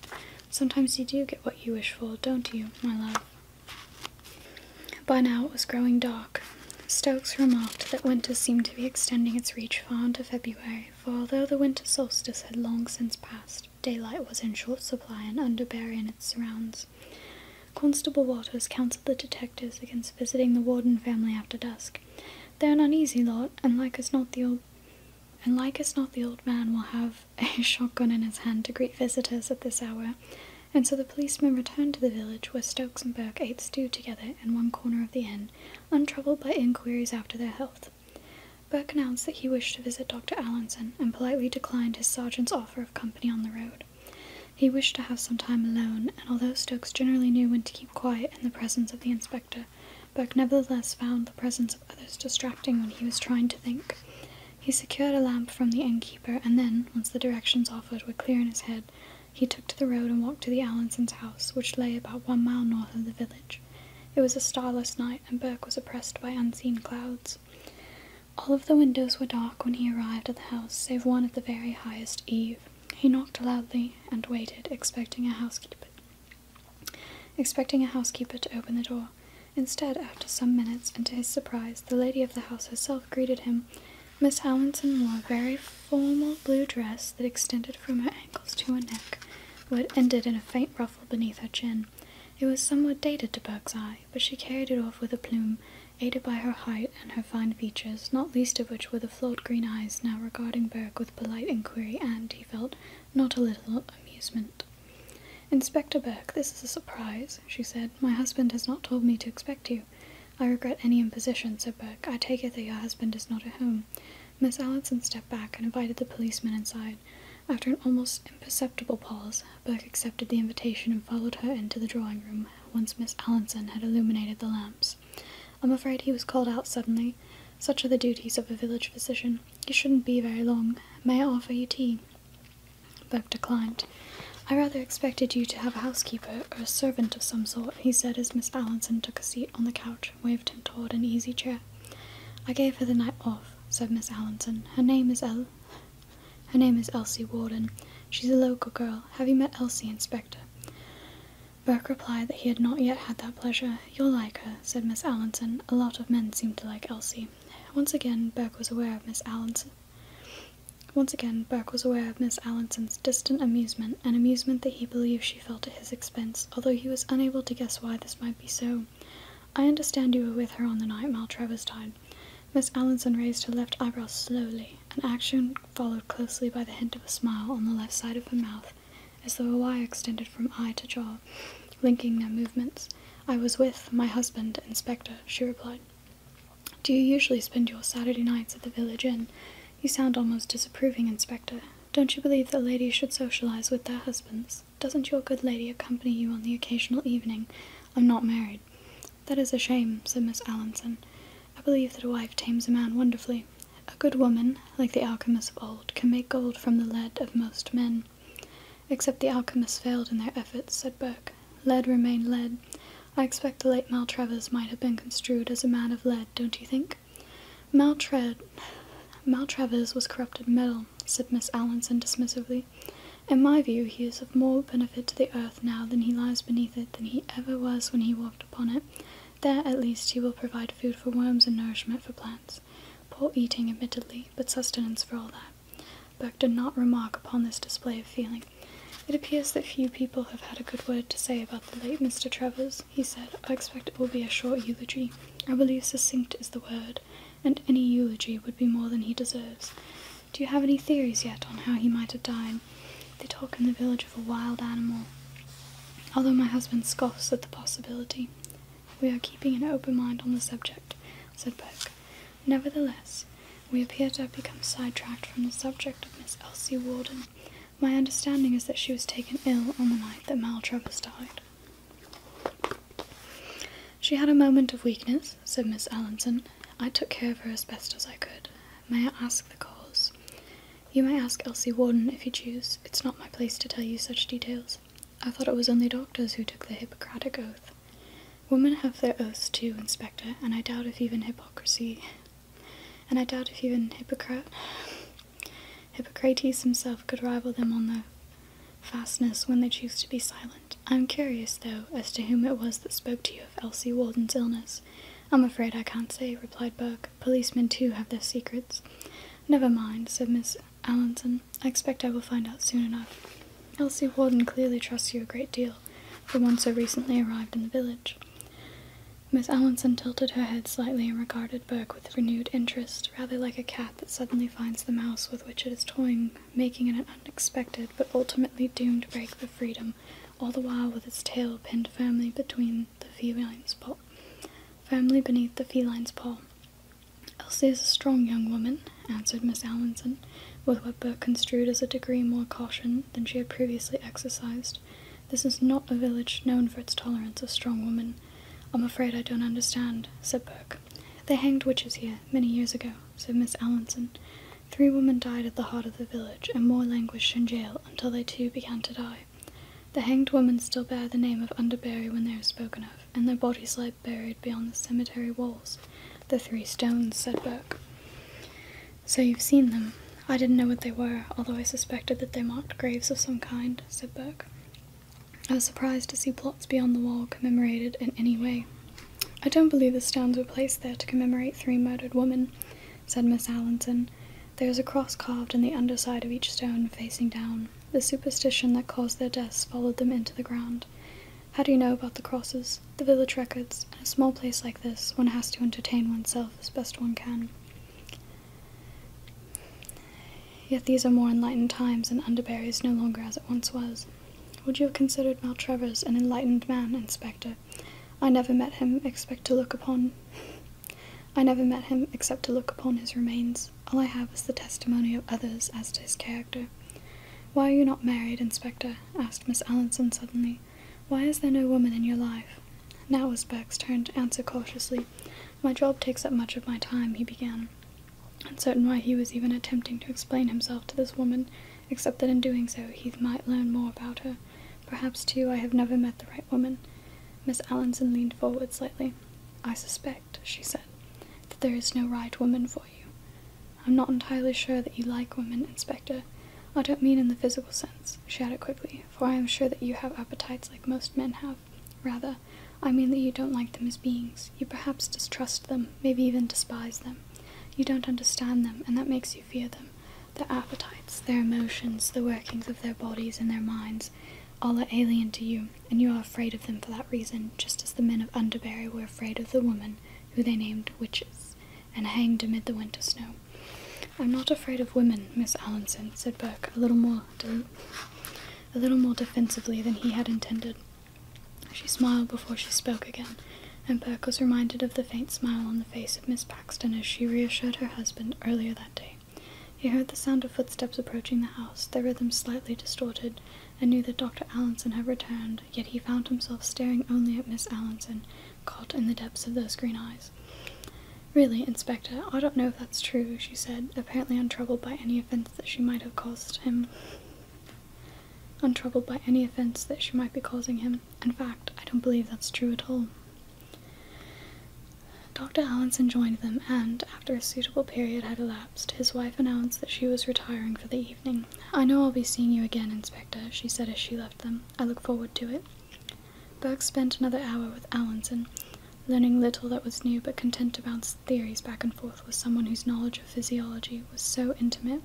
Sometimes you do get what you wish for, don't you, my love? By now it was growing dark. Stokes remarked that winter seemed to be extending its reach far into February, for although the winter solstice had long since passed, daylight was in short supply and underbary in its surrounds. Constable Waters counselled the detectives against visiting the Warden family after dusk. They're an uneasy lot, and like as not the old and like as not the old man will have a shotgun in his hand to greet visitors at this hour. And so the policemen returned to the village where Stokes and Burke ate stew together in one corner of the inn, untroubled by inquiries after their health. Burke announced that he wished to visit Dr. Allinson and politely declined his sergeant's offer of company on the road. He wished to have some time alone, and although Stokes generally knew when to keep quiet in the presence of the inspector, Burke nevertheless found the presence of others distracting when he was trying to think. He secured a lamp from the innkeeper, and then, once the directions offered were clear in his head, he took to the road and walked to the Allensons' house, which lay about one mile north of the village. It was a starless night, and Burke was oppressed by unseen clouds. All of the windows were dark when he arrived at the house, save one at the very highest eave. He knocked loudly and waited, expecting a housekeeper expecting a housekeeper to open the door. Instead, after some minutes, and to his surprise, the lady of the house herself greeted him Miss Howinson wore a very formal blue dress that extended from her ankles to her neck, but ended in a faint ruffle beneath her chin. It was somewhat dated to Burke's eye, but she carried it off with a plume, aided by her height and her fine features, not least of which were the flood green eyes now regarding Burke with polite inquiry and, he felt, not a little amusement. Inspector Burke, this is a surprise, she said. My husband has not told me to expect you. I regret any imposition, said Burke. I take it that your husband is not at home. Miss Allison stepped back and invited the policeman inside. After an almost imperceptible pause, Burke accepted the invitation and followed her into the drawing room, once Miss Allinson had illuminated the lamps. I'm afraid he was called out suddenly. Such are the duties of a village physician. You shouldn't be very long. May I offer you tea? declined. I rather expected you to have a housekeeper or a servant of some sort, he said as Miss Allinson took a seat on the couch and waved him toward an easy chair. I gave her the night off, said Miss Allinson. Her name is El her name is Elsie Warden. She's a local girl. Have you met Elsie, Inspector? Burke replied that he had not yet had that pleasure. You'll like her, said Miss Allinson. A lot of men seem to like Elsie. Once again, Burke was aware of Miss Allinson, once again, Burke was aware of Miss Allison's distant amusement, an amusement that he believed she felt at his expense, although he was unable to guess why this might be so. I understand you were with her on the night Trevor died. Miss Allison raised her left eyebrow slowly, an action followed closely by the hint of a smile on the left side of her mouth, as though a wire extended from eye to jaw, linking their movements. I was with my husband, Inspector, she replied. Do you usually spend your Saturday nights at the village inn? You sound almost disapproving, Inspector. Don't you believe that ladies should socialize with their husbands? Doesn't your good lady accompany you on the occasional evening? I'm not married. That is a shame, said Miss Allinson. I believe that a wife tames a man wonderfully. A good woman, like the alchemists of old, can make gold from the lead of most men. Except the alchemists failed in their efforts, said Burke. Lead remained lead. I expect the late Maltravers might have been construed as a man of lead, don't you think? Maltred Maltravers was corrupted metal, said Miss Allinson dismissively. In my view, he is of more benefit to the earth now than he lies beneath it than he ever was when he walked upon it. There, at least, he will provide food for worms and nourishment for plants. Poor eating, admittedly, but sustenance for all that. Burke did not remark upon this display of feeling. It appears that few people have had a good word to say about the late Mr. Travers, he said. I expect it will be a short eulogy. I believe succinct is the word, and any eulogy would be more than he deserves. Do you have any theories yet on how he might have died? They talk in the village of a wild animal, although my husband scoffs at the possibility. We are keeping an open mind on the subject, said Burke. Nevertheless, we appear to have become sidetracked from the subject of Miss Elsie Warden. My understanding is that she was taken ill on the night that Maltravers died. She had a moment of weakness, said Miss Allinson. I took care of her as best as I could. May I ask the cause? You may ask Elsie Warden if you choose. It's not my place to tell you such details. I thought it was only doctors who took the Hippocratic oath. Women have their oaths too, Inspector, and I doubt if even hypocrisy. And I doubt if even Hippocrate. Hippocrates himself could rival them on their fastness when they choose to be silent. I'm curious, though, as to whom it was that spoke to you of Elsie Walden's illness. I'm afraid I can't say, replied Burke. Policemen, too, have their secrets. Never mind, said Miss Allinson. I expect I will find out soon enough. Elsie Walden clearly trusts you a great deal, the one so recently arrived in the village. Miss Allinson tilted her head slightly and regarded Burke with renewed interest, rather like a cat that suddenly finds the mouse with which it is toying, making an unexpected but ultimately doomed break for freedom, all the while with its tail pinned firmly between the feline's paw. Firmly beneath the feline's paw. Elsie is a strong young woman, answered Miss Allinson with what Burke construed as a degree more caution than she had previously exercised. This is not a village known for its tolerance of strong women. I'm afraid I don't understand, said Burke. They hanged witches here many years ago, said Miss Allinson. Three women died at the heart of the village, and more languished in jail until they too began to die. The hanged women still bear the name of Underbury when they are spoken of, and their bodies lie buried beyond the cemetery walls. The three stones, said Burke. So you've seen them. I didn't know what they were, although I suspected that they marked graves of some kind, said Burke. I was surprised to see plots beyond the wall commemorated in any way. I don't believe the stones were placed there to commemorate three murdered women, said Miss Allinson. There is a cross carved in the underside of each stone facing down. The superstition that caused their deaths followed them into the ground. How do you know about the crosses? the village records. In a small place like this, one has to entertain oneself as best one can. Yet these are more enlightened times, and Underbury is no longer as it once was. Would you have considered Maltravers an enlightened man, Inspector? I never met him except to look upon. I never met him except to look upon his remains. All I have is the testimony of others as to his character. Why are you not married, Inspector? asked Miss Allinson suddenly. Why is there no woman in your life? Now was Burke's tone to answer cautiously. My job takes up much of my time, he began, uncertain why he was even attempting to explain himself to this woman, except that in doing so he might learn more about her. Perhaps, too, I have never met the right woman. Miss Allinson leaned forward slightly. I suspect, she said, that there is no right woman for you. I'm not entirely sure that you like women, Inspector. I don't mean in the physical sense, she added quickly, for I am sure that you have appetites like most men have. Rather, I mean that you don't like them as beings. You perhaps distrust them, maybe even despise them. You don't understand them, and that makes you fear them. Their appetites, their emotions, the workings of their bodies and their minds, all are alien to you, and you are afraid of them for that reason, just as the men of Underbury were afraid of the women who they named witches and hanged amid the winter snow. I'm not afraid of women, Miss Allinson, said Burke, a little more a little more defensively than he had intended. She smiled before she spoke again, and Burke was reminded of the faint smile on the face of Miss Paxton as she reassured her husband earlier that day. He heard the sound of footsteps approaching the house, their rhythm slightly distorted, and knew that Dr. Allinson had returned yet he found himself staring only at Miss Allinson, caught in the depths of those green eyes. Really, Inspector, I don't know if that's true, she said, apparently untroubled by any offense that she might have caused him. Untroubled by any offense that she might be causing him. In fact, I don't believe that's true at all. Dr. Allinson joined them, and, after a suitable period had elapsed, his wife announced that she was retiring for the evening. I know I'll be seeing you again, Inspector, she said as she left them. I look forward to it. Burke spent another hour with Allenson, learning little that was new, but content to bounce theories back and forth with someone whose knowledge of physiology was so intimate.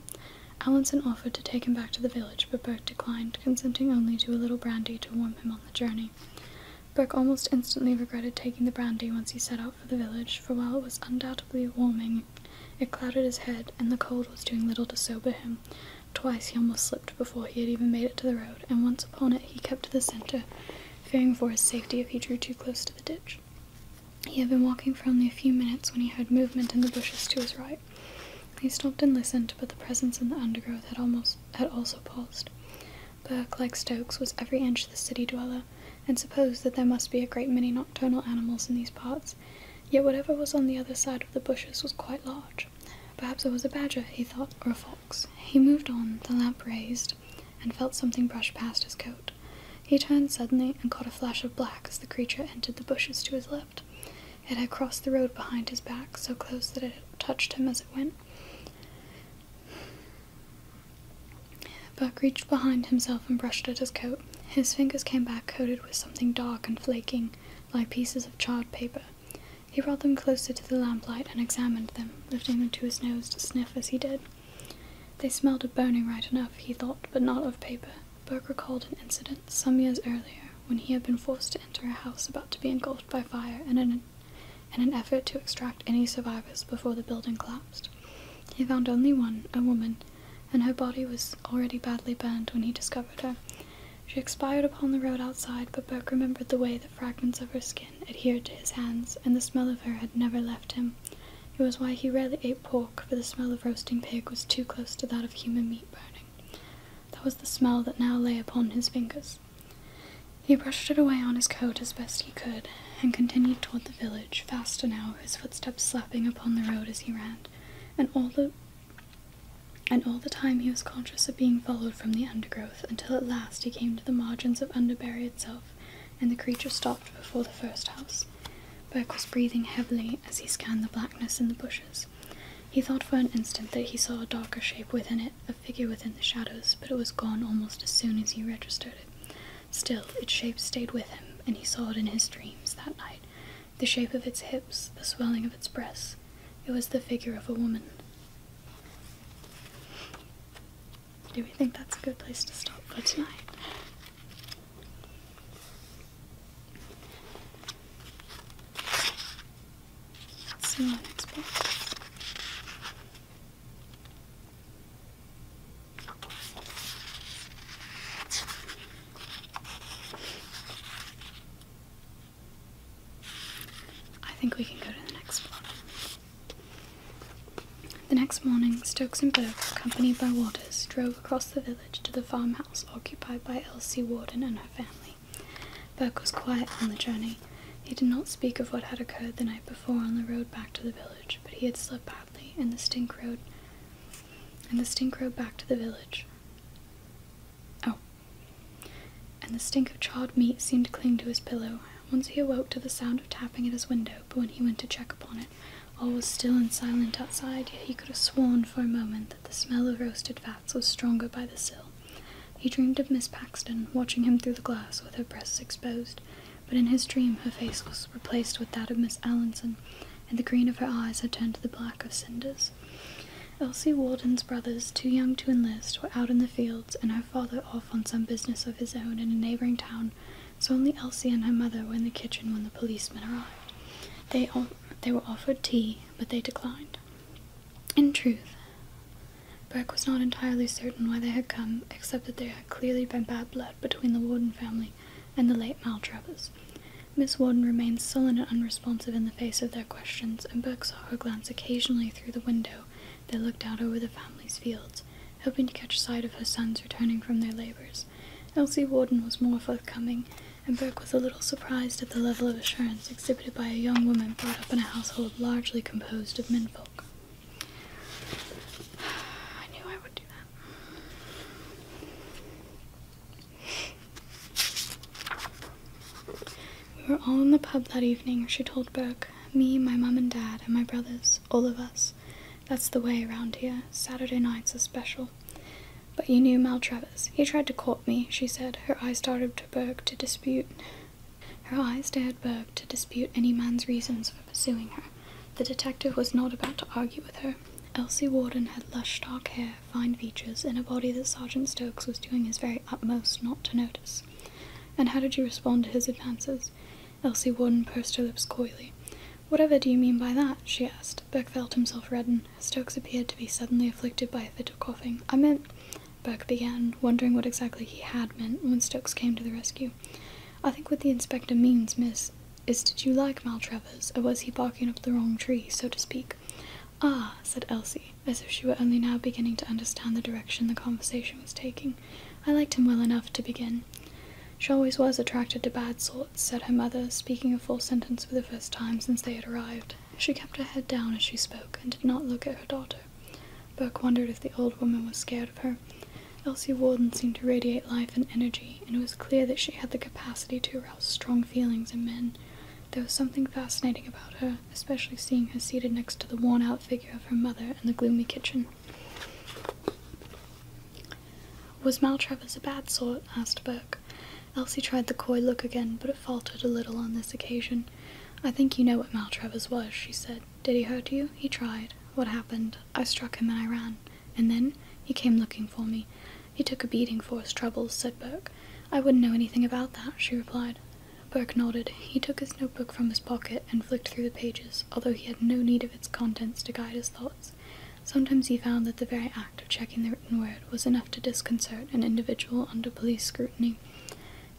Allenson offered to take him back to the village, but Burke declined, consenting only to a little brandy to warm him on the journey. Burke almost instantly regretted taking the brandy once he set out for the village, for while it was undoubtedly warming, it clouded his head, and the cold was doing little to sober him. Twice he almost slipped before he had even made it to the road, and once upon it he kept to the center, fearing for his safety if he drew too close to the ditch. He had been walking for only a few minutes when he heard movement in the bushes to his right. He stopped and listened, but the presence in the undergrowth had almost had also paused. Burke, like Stokes, was every inch the city dweller, and supposed that there must be a great many nocturnal animals in these parts, Yet whatever was on the other side of the bushes was quite large. Perhaps it was a badger, he thought, or a fox. He moved on, the lamp raised, and felt something brush past his coat. He turned suddenly and caught a flash of black as the creature entered the bushes to his left. It had crossed the road behind his back, so close that it touched him as it went. Buck reached behind himself and brushed at his coat. His fingers came back coated with something dark and flaking, like pieces of charred paper. He brought them closer to the lamplight and examined them, lifting them to his nose to sniff as he did. They smelled of burning right enough, he thought, but not of paper. Burke recalled an incident some years earlier when he had been forced to enter a house about to be engulfed by fire in in an effort to extract any survivors before the building collapsed. He found only one, a woman, and her body was already badly burned when he discovered her. She expired upon the road outside, but Burke remembered the way the fragments of her skin adhered to his hands, and the smell of her had never left him. It was why he rarely ate pork, for the smell of roasting pig was too close to that of human meat burning. That was the smell that now lay upon his fingers. He brushed it away on his coat as best he could, and continued toward the village, faster now, his footsteps slapping upon the road as he ran, and all the and all the time he was conscious of being followed from the undergrowth until at last he came to the margins of Underbury itself, and the creature stopped before the first house. Burke was breathing heavily as he scanned the blackness in the bushes. He thought for an instant that he saw a darker shape within it, a figure within the shadows, but it was gone almost as soon as he registered it. Still, its shape stayed with him, and he saw it in his dreams that night, the shape of its hips, the swelling of its breasts. It was the figure of a woman. Do we think that's a good place to stop for tonight? I think we can go to the next The next morning, Stokes and Burke, accompanied by Waters, drove across the village to the farmhouse occupied by Elsie Warden and her family. Burke was quiet on the journey. He did not speak of what had occurred the night before on the road back to the village, but he had slept badly, in the stink road and the stink rode back to the village. Oh. And the stink of charred meat seemed to cling to his pillow. Once he awoke to the sound of tapping at his window, but when he went to check upon it, all was still and silent outside, yet he could have sworn for a moment that the smell of roasted fats was stronger by the sill. He dreamed of Miss Paxton, watching him through the glass with her breasts exposed, but in his dream her face was replaced with that of Miss Allinson, and the green of her eyes had turned to the black of cinders. Elsie Warden's brothers, too young to enlist, were out in the fields, and her father off on some business of his own in a neighboring town, so only Elsie and her mother were in the kitchen when the policemen arrived. They, they were offered tea, but they declined. In truth, Burke was not entirely certain why they had come, except that there had clearly been bad blood between the Warden family and the late Maltravers. Miss Warden remained sullen and unresponsive in the face of their questions, and Burke saw her glance occasionally through the window that looked out over the family's fields, hoping to catch sight of her sons returning from their labours. Elsie Warden was more forthcoming, and Burke was a little surprised at the level of assurance exhibited by a young woman brought up in a household largely composed of menfolk. I knew I would do that. We were all in the pub that evening, she told Burke, Me, my mum and dad, and my brothers, all of us. That's the way around here. Saturday nights are special. But you knew Mal Travers. He tried to court me, she said. Her eyes started to Burke to dispute. Her eyes dared Burke to dispute any man's reasons for pursuing her. The detective was not about to argue with her. Elsie Warden had lush dark hair, fine features in a body that Sergeant Stokes was doing his very utmost not to notice. And how did you respond to his advances? Elsie Warden pursed her lips coyly. Whatever do you mean by that? she asked. Burke felt himself redden. Stokes appeared to be suddenly afflicted by a fit of coughing. I meant, Burke began, wondering what exactly he had meant when Stokes came to the rescue. I think what the inspector means, miss, is did you like Maltravers, or was he barking up the wrong tree, so to speak? Ah, said Elsie, as if she were only now beginning to understand the direction the conversation was taking. I liked him well enough to begin. She always was attracted to bad sorts, said her mother, speaking a full sentence for the first time since they had arrived. She kept her head down as she spoke, and did not look at her daughter. Burke wondered if the old woman was scared of her. Elsie Warden seemed to radiate life and energy, and it was clear that she had the capacity to strong feelings in men. There was something fascinating about her, especially seeing her seated next to the worn out figure of her mother in the gloomy kitchen. Was Maltravers a bad sort? asked Burke. Elsie tried the coy look again, but it faltered a little on this occasion. I think you know what Maltravers was, she said. Did he hurt you? He tried. What happened? I struck him and I ran. And then he came looking for me. He took a beating for his troubles, said Burke. I wouldn't know anything about that, she replied. Burke nodded. He took his notebook from his pocket and flicked through the pages, although he had no need of its contents to guide his thoughts. Sometimes he found that the very act of checking the written word was enough to disconcert an individual under police scrutiny.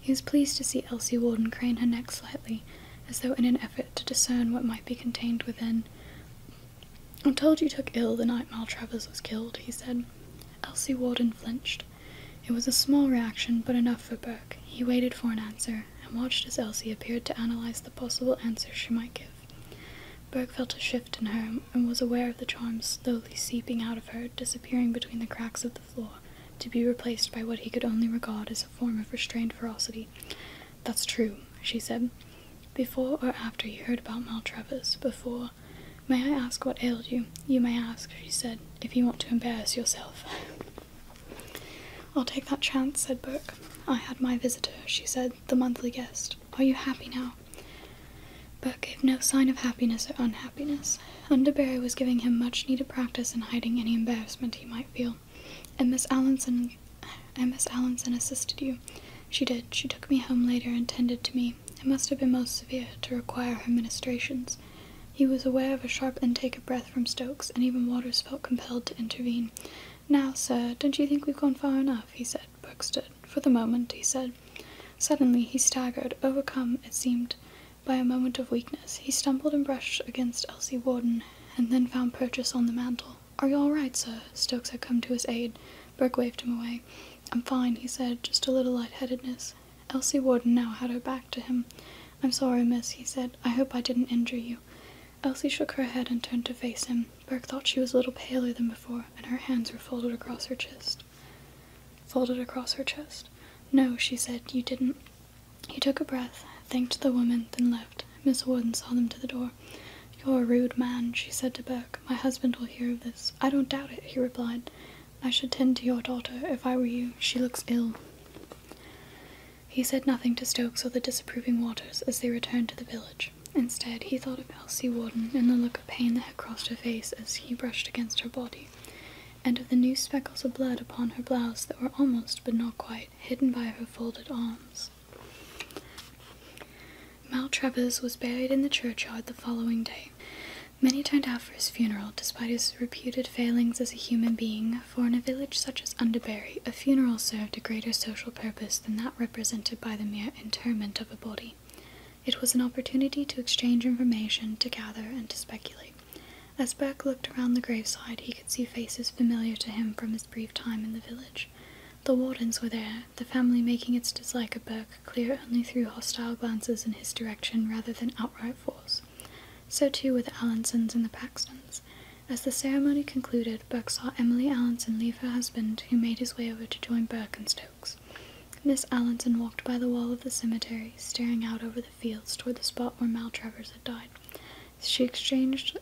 He was pleased to see Elsie Walden crane her neck slightly, as though in an effort to discern what might be contained within. I'm told you took ill the night Mal Maltravers was killed, he said. Elsie Warden flinched. It was a small reaction, but enough for Burke. He waited for an answer, and watched as Elsie appeared to analyze the possible answers she might give. Burke felt a shift in her, and was aware of the charm slowly seeping out of her, disappearing between the cracks of the floor, to be replaced by what he could only regard as a form of restrained ferocity. That's true, she said. Before or after you heard about Maltravers? Before. May I ask what ailed you? You may ask, she said, if you want to embarrass yourself. I'll take that chance, said Burke. I had my visitor, she said, the monthly guest. Are you happy now? Burke gave no sign of happiness or unhappiness. Underbury was giving him much needed practice in hiding any embarrassment he might feel, and Miss Allenson Miss Allinson assisted you. She did. She took me home later and tended to me. It must have been most severe to require her ministrations. He was aware of a sharp intake of breath from Stokes, and even Waters felt compelled to intervene. Now, sir, don't you think we've gone far enough? he said. Brooks stood. For the moment, he said. Suddenly he staggered, overcome, it seemed, by a moment of weakness. He stumbled and brushed against Elsie Warden, and then found purchase on the mantel. Are you all right, sir? Stokes had come to his aid. Burke waved him away. I'm fine, he said, just a little lightheadedness. Elsie Warden now had her back to him. I'm sorry, miss, he said. I hope I didn't injure you. Elsie shook her head and turned to face him. Burke thought she was a little paler than before, and her hands were folded across her chest. Folded across her chest? No, she said, you didn't. He took a breath, thanked the woman, then left. Miss Warden saw them to the door. You're a rude man, she said to Burke. My husband will hear of this. I don't doubt it, he replied. I should tend to your daughter if I were you. She looks ill. He said nothing to Stokes or the disapproving waters as they returned to the village. Instead, he thought of Elsie Warden and the look of pain that had crossed her face as he brushed against her body, and of the new speckles of blood upon her blouse that were almost, but not quite, hidden by her folded arms. Maltravers was buried in the churchyard the following day. Many turned out for his funeral, despite his reputed failings as a human being, for in a village such as Underbury, a funeral served a greater social purpose than that represented by the mere interment of a body. It was an opportunity to exchange information, to gather, and to speculate. As Burke looked around the graveside, he could see faces familiar to him from his brief time in the village. The Wardens were there, the family making its dislike of Burke clear only through hostile glances in his direction rather than outright force. So too were the Allansons and the Paxtons. As the ceremony concluded, Burke saw Emily Allinson leave her husband, who made his way over to join Burke and Stokes. Miss Allinson walked by the wall of the cemetery, staring out over the fields toward the spot where Maltravers had died. She exchanged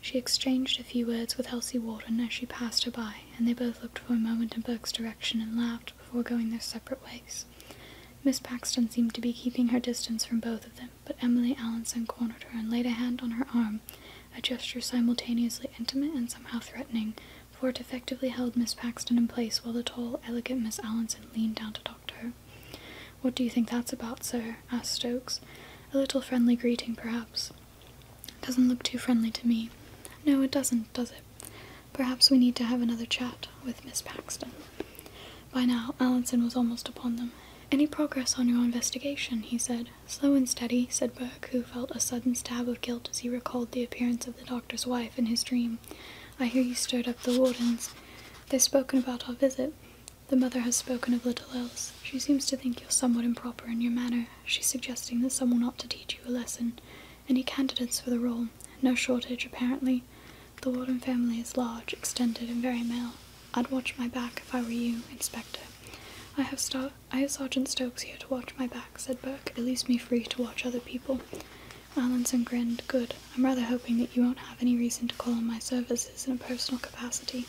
she exchanged a few words with Elsie Warden as she passed her by, and they both looked for a moment in Burke's direction and laughed before going their separate ways. Miss Paxton seemed to be keeping her distance from both of them, but Emily Allinson cornered her and laid a hand on her arm, a gesture simultaneously intimate and somehow threatening, for it effectively held Miss Paxton in place while the tall, elegant Miss Allinson leaned down to talk to her. What do you think that's about, sir? asked Stokes. A little friendly greeting, perhaps. Doesn't look too friendly to me. No, it doesn't, does it? Perhaps we need to have another chat with Miss Paxton. By now, Allinson was almost upon them. Any progress on your investigation? he said. Slow and steady, said Burke, who felt a sudden stab of guilt as he recalled the appearance of the doctor's wife in his dream. I hear you stirred up the wardens. They've spoken about our visit. The mother has spoken of little else. She seems to think you're somewhat improper in your manner she's suggesting that someone ought to teach you a lesson. Any candidates for the role? No shortage, apparently. The Warden family is large, extended, and very male. I'd watch my back if I were you, Inspector. I have, Star- I have Sergeant Stokes here to watch my back, said Burke. It leaves me free to watch other people. Allenson grinned. Good. I'm rather hoping that you won't have any reason to call on my services in a personal capacity.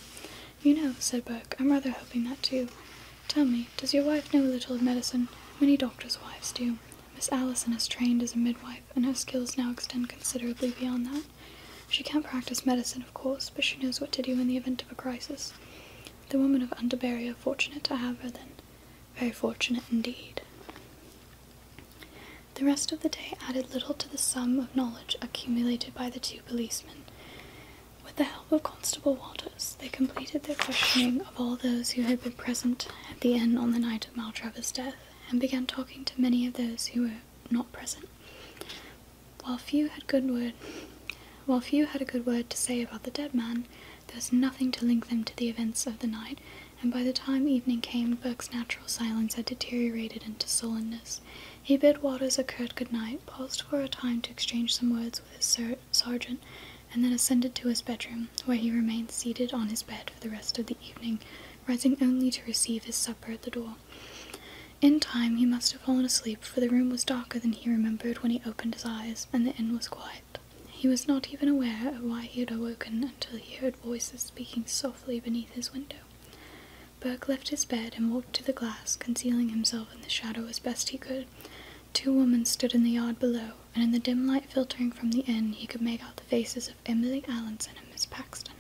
You know, said Burke, I'm rather hoping that too. Tell me, does your wife know a little of medicine? Many doctors' wives do. Miss Allison is trained as a midwife, and her skills now extend considerably beyond that. She can't practice medicine, of course, but she knows what to do in the event of a crisis. The women of Underbury are fortunate to have her, then. Very fortunate indeed. The rest of the day added little to the sum of knowledge accumulated by the two policemen. With the help of Constable Walters, they completed their questioning of all those who had been present at the inn on the night of Maltravers' death, and began talking to many of those who were not present. While few had good word, while few had a good word to say about the dead man, there was nothing to link them to the events of the night, and by the time evening came, Burke's natural silence had deteriorated into sullenness. He bid Waters a curt good night, paused for a time to exchange some words with his ser- sergeant, and then ascended to his bedroom, where he remained seated on his bed for the rest of the evening, rising only to receive his supper at the door. In time he must have fallen asleep, for the room was darker than he remembered when he opened his eyes, and the inn was quiet. He was not even aware of why he had awoken until he heard voices speaking softly beneath his window. Burke left his bed and walked to the glass, concealing himself in the shadow as best he could. Two women stood in the yard below, and in the dim light filtering from the inn he could make out the faces of Emily Allinson and Miss Paxton.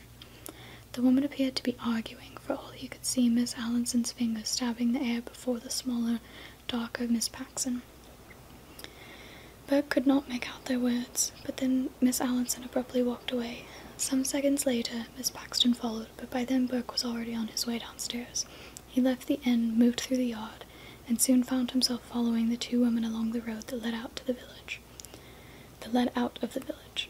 The woman appeared to be arguing, for all he could see Miss Allinson's fingers stabbing the air before the smaller, darker Miss Paxton. Burke could not make out their words, but then Miss Allinson abruptly walked away. Some seconds later, Miss Paxton followed, but by then Burke was already on his way downstairs. He left the inn, moved through the yard, and soon found himself following the two women along the road that led out to the village. That led out of the village.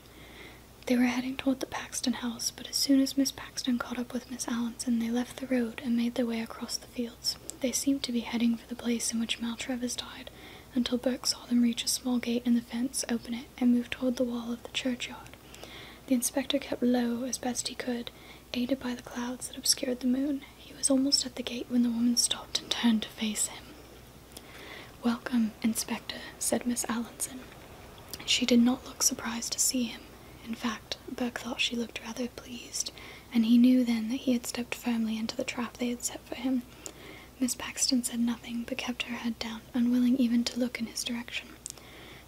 They were heading toward the Paxton house, but as soon as Miss Paxton caught up with Miss Allinson, they left the road and made their way across the fields. They seemed to be heading for the place in which Maltravers died, until Burke saw them reach a small gate in the fence, open it, and move toward the wall of the churchyard. The inspector kept low as best he could, aided by the clouds that obscured the moon. He was almost at the gate when the woman stopped and turned to face him. Welcome, Inspector, said Miss Allinson. She did not look surprised to see him. In fact, Burke thought she looked rather pleased, and he knew then that he had stepped firmly into the trap they had set for him. Miss Paxton said nothing, but kept her head down, unwilling even to look in his direction.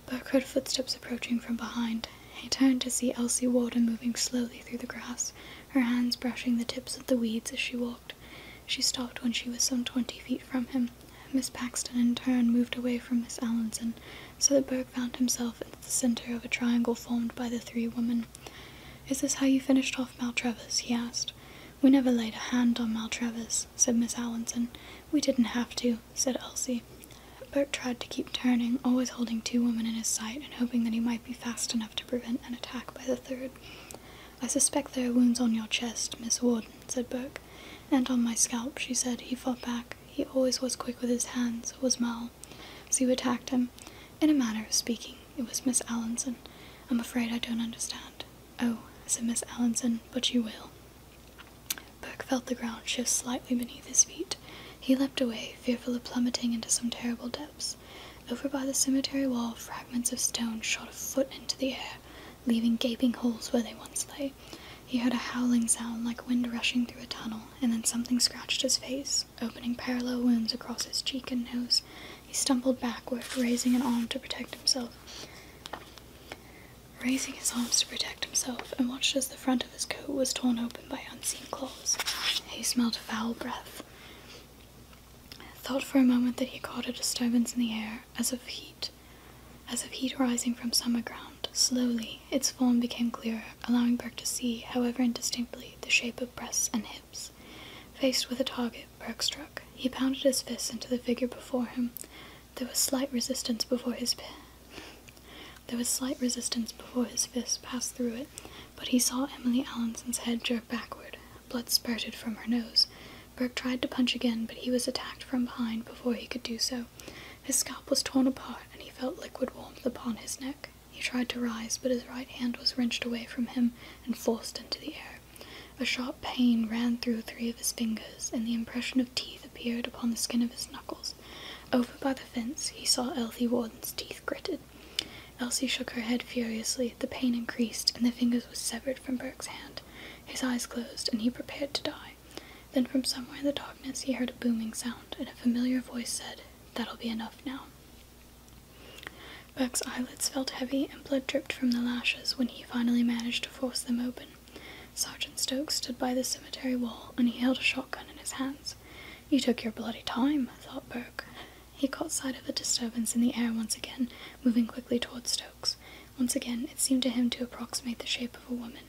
Buck heard footsteps approaching from behind. He turned to see Elsie Walden moving slowly through the grass, her hands brushing the tips of the weeds as she walked. She stopped when she was some twenty feet from him. Miss Paxton in turn moved away from Miss Allinson, so that Burke found himself at the center of a triangle formed by the three women. Is this how you finished off Maltravers? he asked. We never laid a hand on Maltravers, said Miss Allinson. We didn't have to said Elsie. Burke tried to keep turning, always holding two women in his sight and hoping that he might be fast enough to prevent an attack by the third. I suspect there are wounds on your chest, Miss Warden, said Burke. And on my scalp, she said. He fought back. He always was quick with his hands, was Mal. So you attacked him. In a manner of speaking, it was Miss Allinson. I'm afraid I don't understand. Oh, said Miss Allinson, but you will. Burke felt the ground shift slightly beneath his feet. He leaped away, fearful of plummeting into some terrible depths. Over by the cemetery wall, fragments of stone shot a foot into the air, leaving gaping holes where they once lay. He heard a howling sound like wind rushing through a tunnel, and then something scratched his face, opening parallel wounds across his cheek and nose. He stumbled backward, raising an arm to protect himself. Raising his arms to protect himself, and watched as the front of his coat was torn open by unseen claws. He smelled foul breath. Thought for a moment that he caught a disturbance in the air, as of heat, as of heat rising from summer ground. Slowly, its form became clearer, allowing Burke to see, however indistinctly, the shape of breasts and hips. Faced with a target, Burke struck. He pounded his fist into the figure before him. There was slight resistance before his there was slight resistance before his fist passed through it, but he saw Emily Allison's head jerk backward. Blood spurted from her nose. Burke tried to punch again, but he was attacked from behind before he could do so. His scalp was torn apart, and he felt liquid warmth upon his neck. He tried to rise, but his right hand was wrenched away from him and forced into the air. A sharp pain ran through three of his fingers, and the impression of teeth appeared upon the skin of his knuckles. Over by the fence, he saw Elsie Warden's teeth gritted. Elsie shook her head furiously. The pain increased, and the fingers were severed from Burke's hand. His eyes closed, and he prepared to die. Then, from somewhere in the darkness, he heard a booming sound, and a familiar voice said, That'll be enough now. Burke's eyelids felt heavy, and blood dripped from the lashes when he finally managed to force them open. Sergeant Stokes stood by the cemetery wall, and he held a shotgun in his hands. You took your bloody time, thought Burke. He caught sight of a disturbance in the air once again, moving quickly toward Stokes. Once again, it seemed to him to approximate the shape of a woman.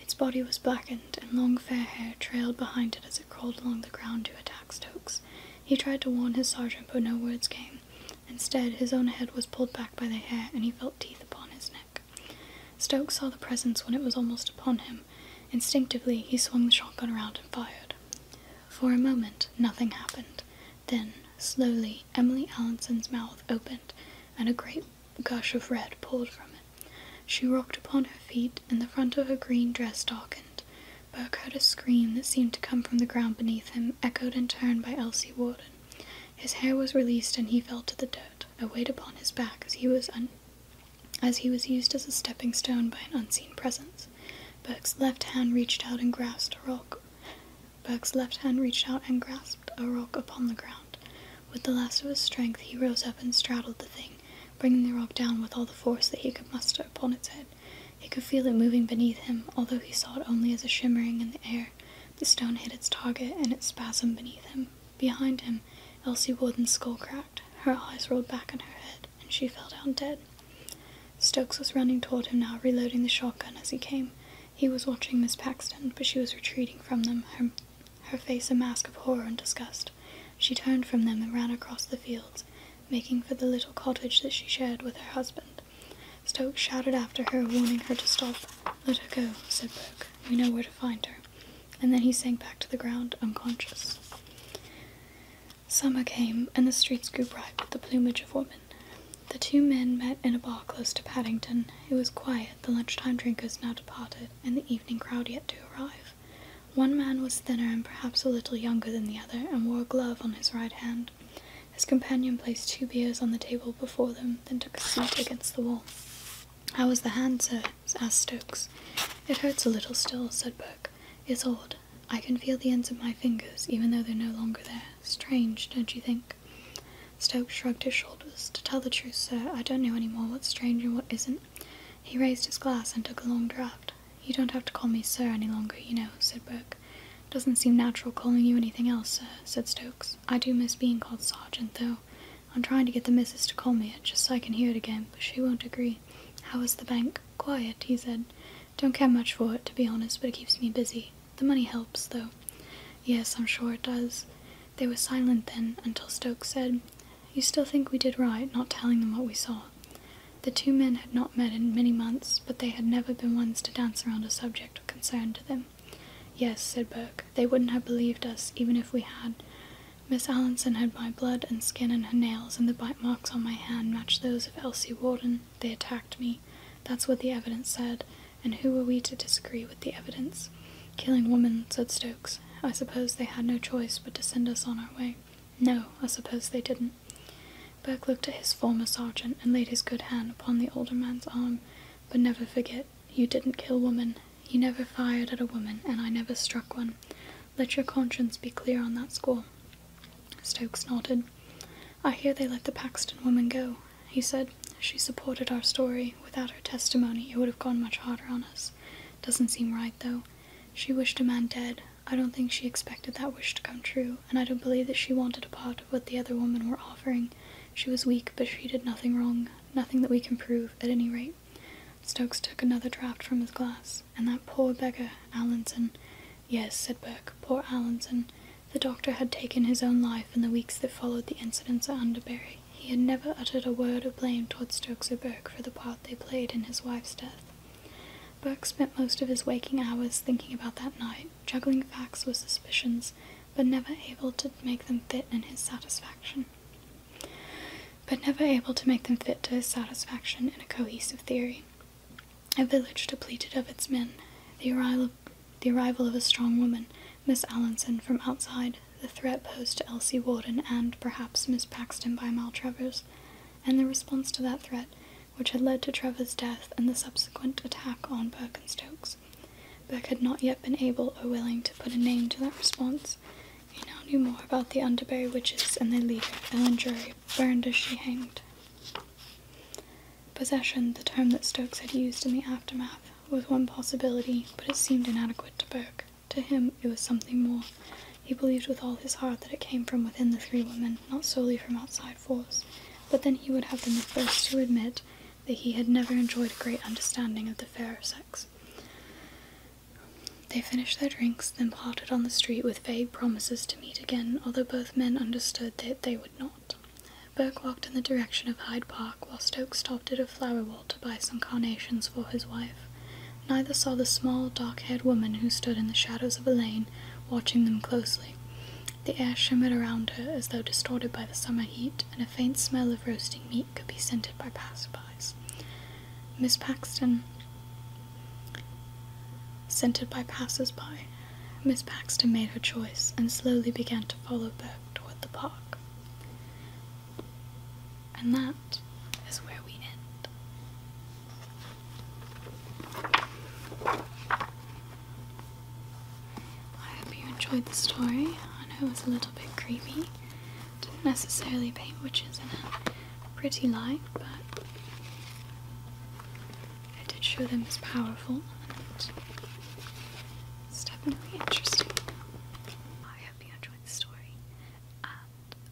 Its body was blackened, and long fair hair trailed behind it as it crawled along the ground to attack Stokes. He tried to warn his sergeant, but no words came. Instead, his own head was pulled back by the hair, and he felt teeth upon his neck. Stokes saw the presence when it was almost upon him. Instinctively, he swung the shotgun around and fired. For a moment, nothing happened. Then, slowly, Emily Allison's mouth opened, and a great gush of red poured from it. She rocked upon her feet, and the front of her green dress darkened. Burke heard a scream that seemed to come from the ground beneath him, echoed in turn by Elsie Warden. His hair was released and he fell to the dirt, a weight upon his back as he was used as a stepping stone by an unseen presence. Burke's left hand reached out and grasped a rock. Burke's left hand reached out and grasped a rock upon the ground. With the last of his strength, he rose up and straddled the thing, bringing the rock down with all the force that he could muster upon its head. He could feel it moving beneath him, although he saw it only as a shimmering in the air the stone hit its target, and its spasm beneath him. Behind him, Elsie Warden's skull cracked. Her eyes rolled back in her head, and she fell down dead. Stokes was running toward him now, reloading the shotgun as he came. He was watching Miss Paxton, but she was retreating from them, her, her face a mask of horror and disgust. She turned from them and ran across the fields, making for the little cottage that she shared with her husband. Stokes shouted after her, warning her to stop. Let her go, said Burke. We know where to find her. And then he sank back to the ground, unconscious. Summer came, and the streets grew bright with the plumage of women. The two men met in a bar close to Paddington. It was quiet, the lunchtime drinkers now departed, and the evening crowd yet to arrive. One man was thinner and perhaps a little younger than the other, and wore a glove on his right hand. His companion placed two beers on the table before them, then took a seat against the wall. How is the hand, sir? asked Stokes. It hurts a little still, said Burke. It's odd. I can feel the ends of my fingers, even though they're no longer there. Strange, don't you think? Stokes shrugged his shoulders. To tell the truth, sir, I don't know any more what's strange and what isn't. He raised his glass and took a long draught. You don't have to call me sir any longer, you know, said Burke. Doesn't seem natural calling you anything else, sir, said Stokes. I do miss being called Sergeant, though. I'm trying to get the missus to call me it, just so I can hear it again, but she won't agree. How is the bank? Quiet, he said. Don't care much for it, to be honest, but it keeps me busy. The money helps, though. Yes, I'm sure it does. They were silent then, until Stokes said, You still think we did right, not telling them what we saw? The two men had not met in many months, but they had never been ones to dance around a subject of concern to them. Yes, said Burke. They wouldn't have believed us, even if we had. Miss Allinson had my blood and skin and her nails, and the bite marks on my hand matched those of Elsie Warden. They attacked me. That's what the evidence said, and who were we to disagree with the evidence? Killing women, said Stokes. I suppose they had no choice but to send us on our way. No, I suppose they didn't. Burke looked at his former sergeant and laid his good hand upon the older man's arm. But never forget, you didn't kill woman. You never fired at a woman, and I never struck one. Let your conscience be clear on that score. Stokes nodded. I hear they let the Paxton woman go, he said. She supported our story. Without her testimony, it would have gone much harder on us. Doesn't seem right, though. She wished a man dead. I don't think she expected that wish to come true, and I don't believe that she wanted a part of what the other women were offering. She was weak, but she did nothing wrong, nothing that we can prove, at any rate. Stokes took another draught from his glass. And that poor beggar, Allinson. Yes, said Burke, poor Allinson. The doctor had taken his own life in the weeks that followed the incidents at Underbury. He had never uttered a word of blame toward Stokes or Burke for the part they played in his wife's death. Burke spent most of his waking hours thinking about that night, juggling facts with suspicions, but never able to make them fit in his satisfaction. But never able to make them fit to his satisfaction in a cohesive theory. A village depleted of its men, the arrival of, the arrival of a strong woman, Miss Allinson, from outside, the threat posed to Elsie Warden and, perhaps, Miss Paxton by Maltravers, and the response to that threat, which had led to Trevor's death and the subsequent attack on Birkenstokes. Burke had not yet been able or willing to put a name to that response. He now knew more about the Underbury witches and their leader, Ellen Drury, burned as she hanged. Possession, the term that Stokes had used in the aftermath, was one possibility, but it seemed inadequate to Burke. To him, it was something more. He believed with all his heart that it came from within the three women, not solely from outside force. But then he would have been the first to admit that he had never enjoyed a great understanding of the fairer sex. They finished their drinks, then parted on the street with vague promises to meet again, although both men understood that they would not. Burke walked in the direction of Hyde Park, while Stokes stopped at a flower wall to buy some carnations for his wife. Neither saw the small, dark-haired woman who stood in the shadows of a lane, watching them closely. The air shimmered around her as though distorted by the summer heat, and a faint smell of roasting meat could be scented by passerbys. Miss Paxton, scented by passersby, Miss Paxton made her choice and slowly began to follow Burke toward the park. And that is where we end. I hope you enjoyed the story. I know it was a little bit creepy. Didn't necessarily paint witches in a pretty light, but I did show them as powerful and definitely interesting. I hope you enjoyed the story and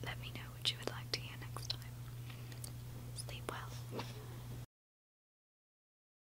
let me know what you would like to hear next time. Sleep well.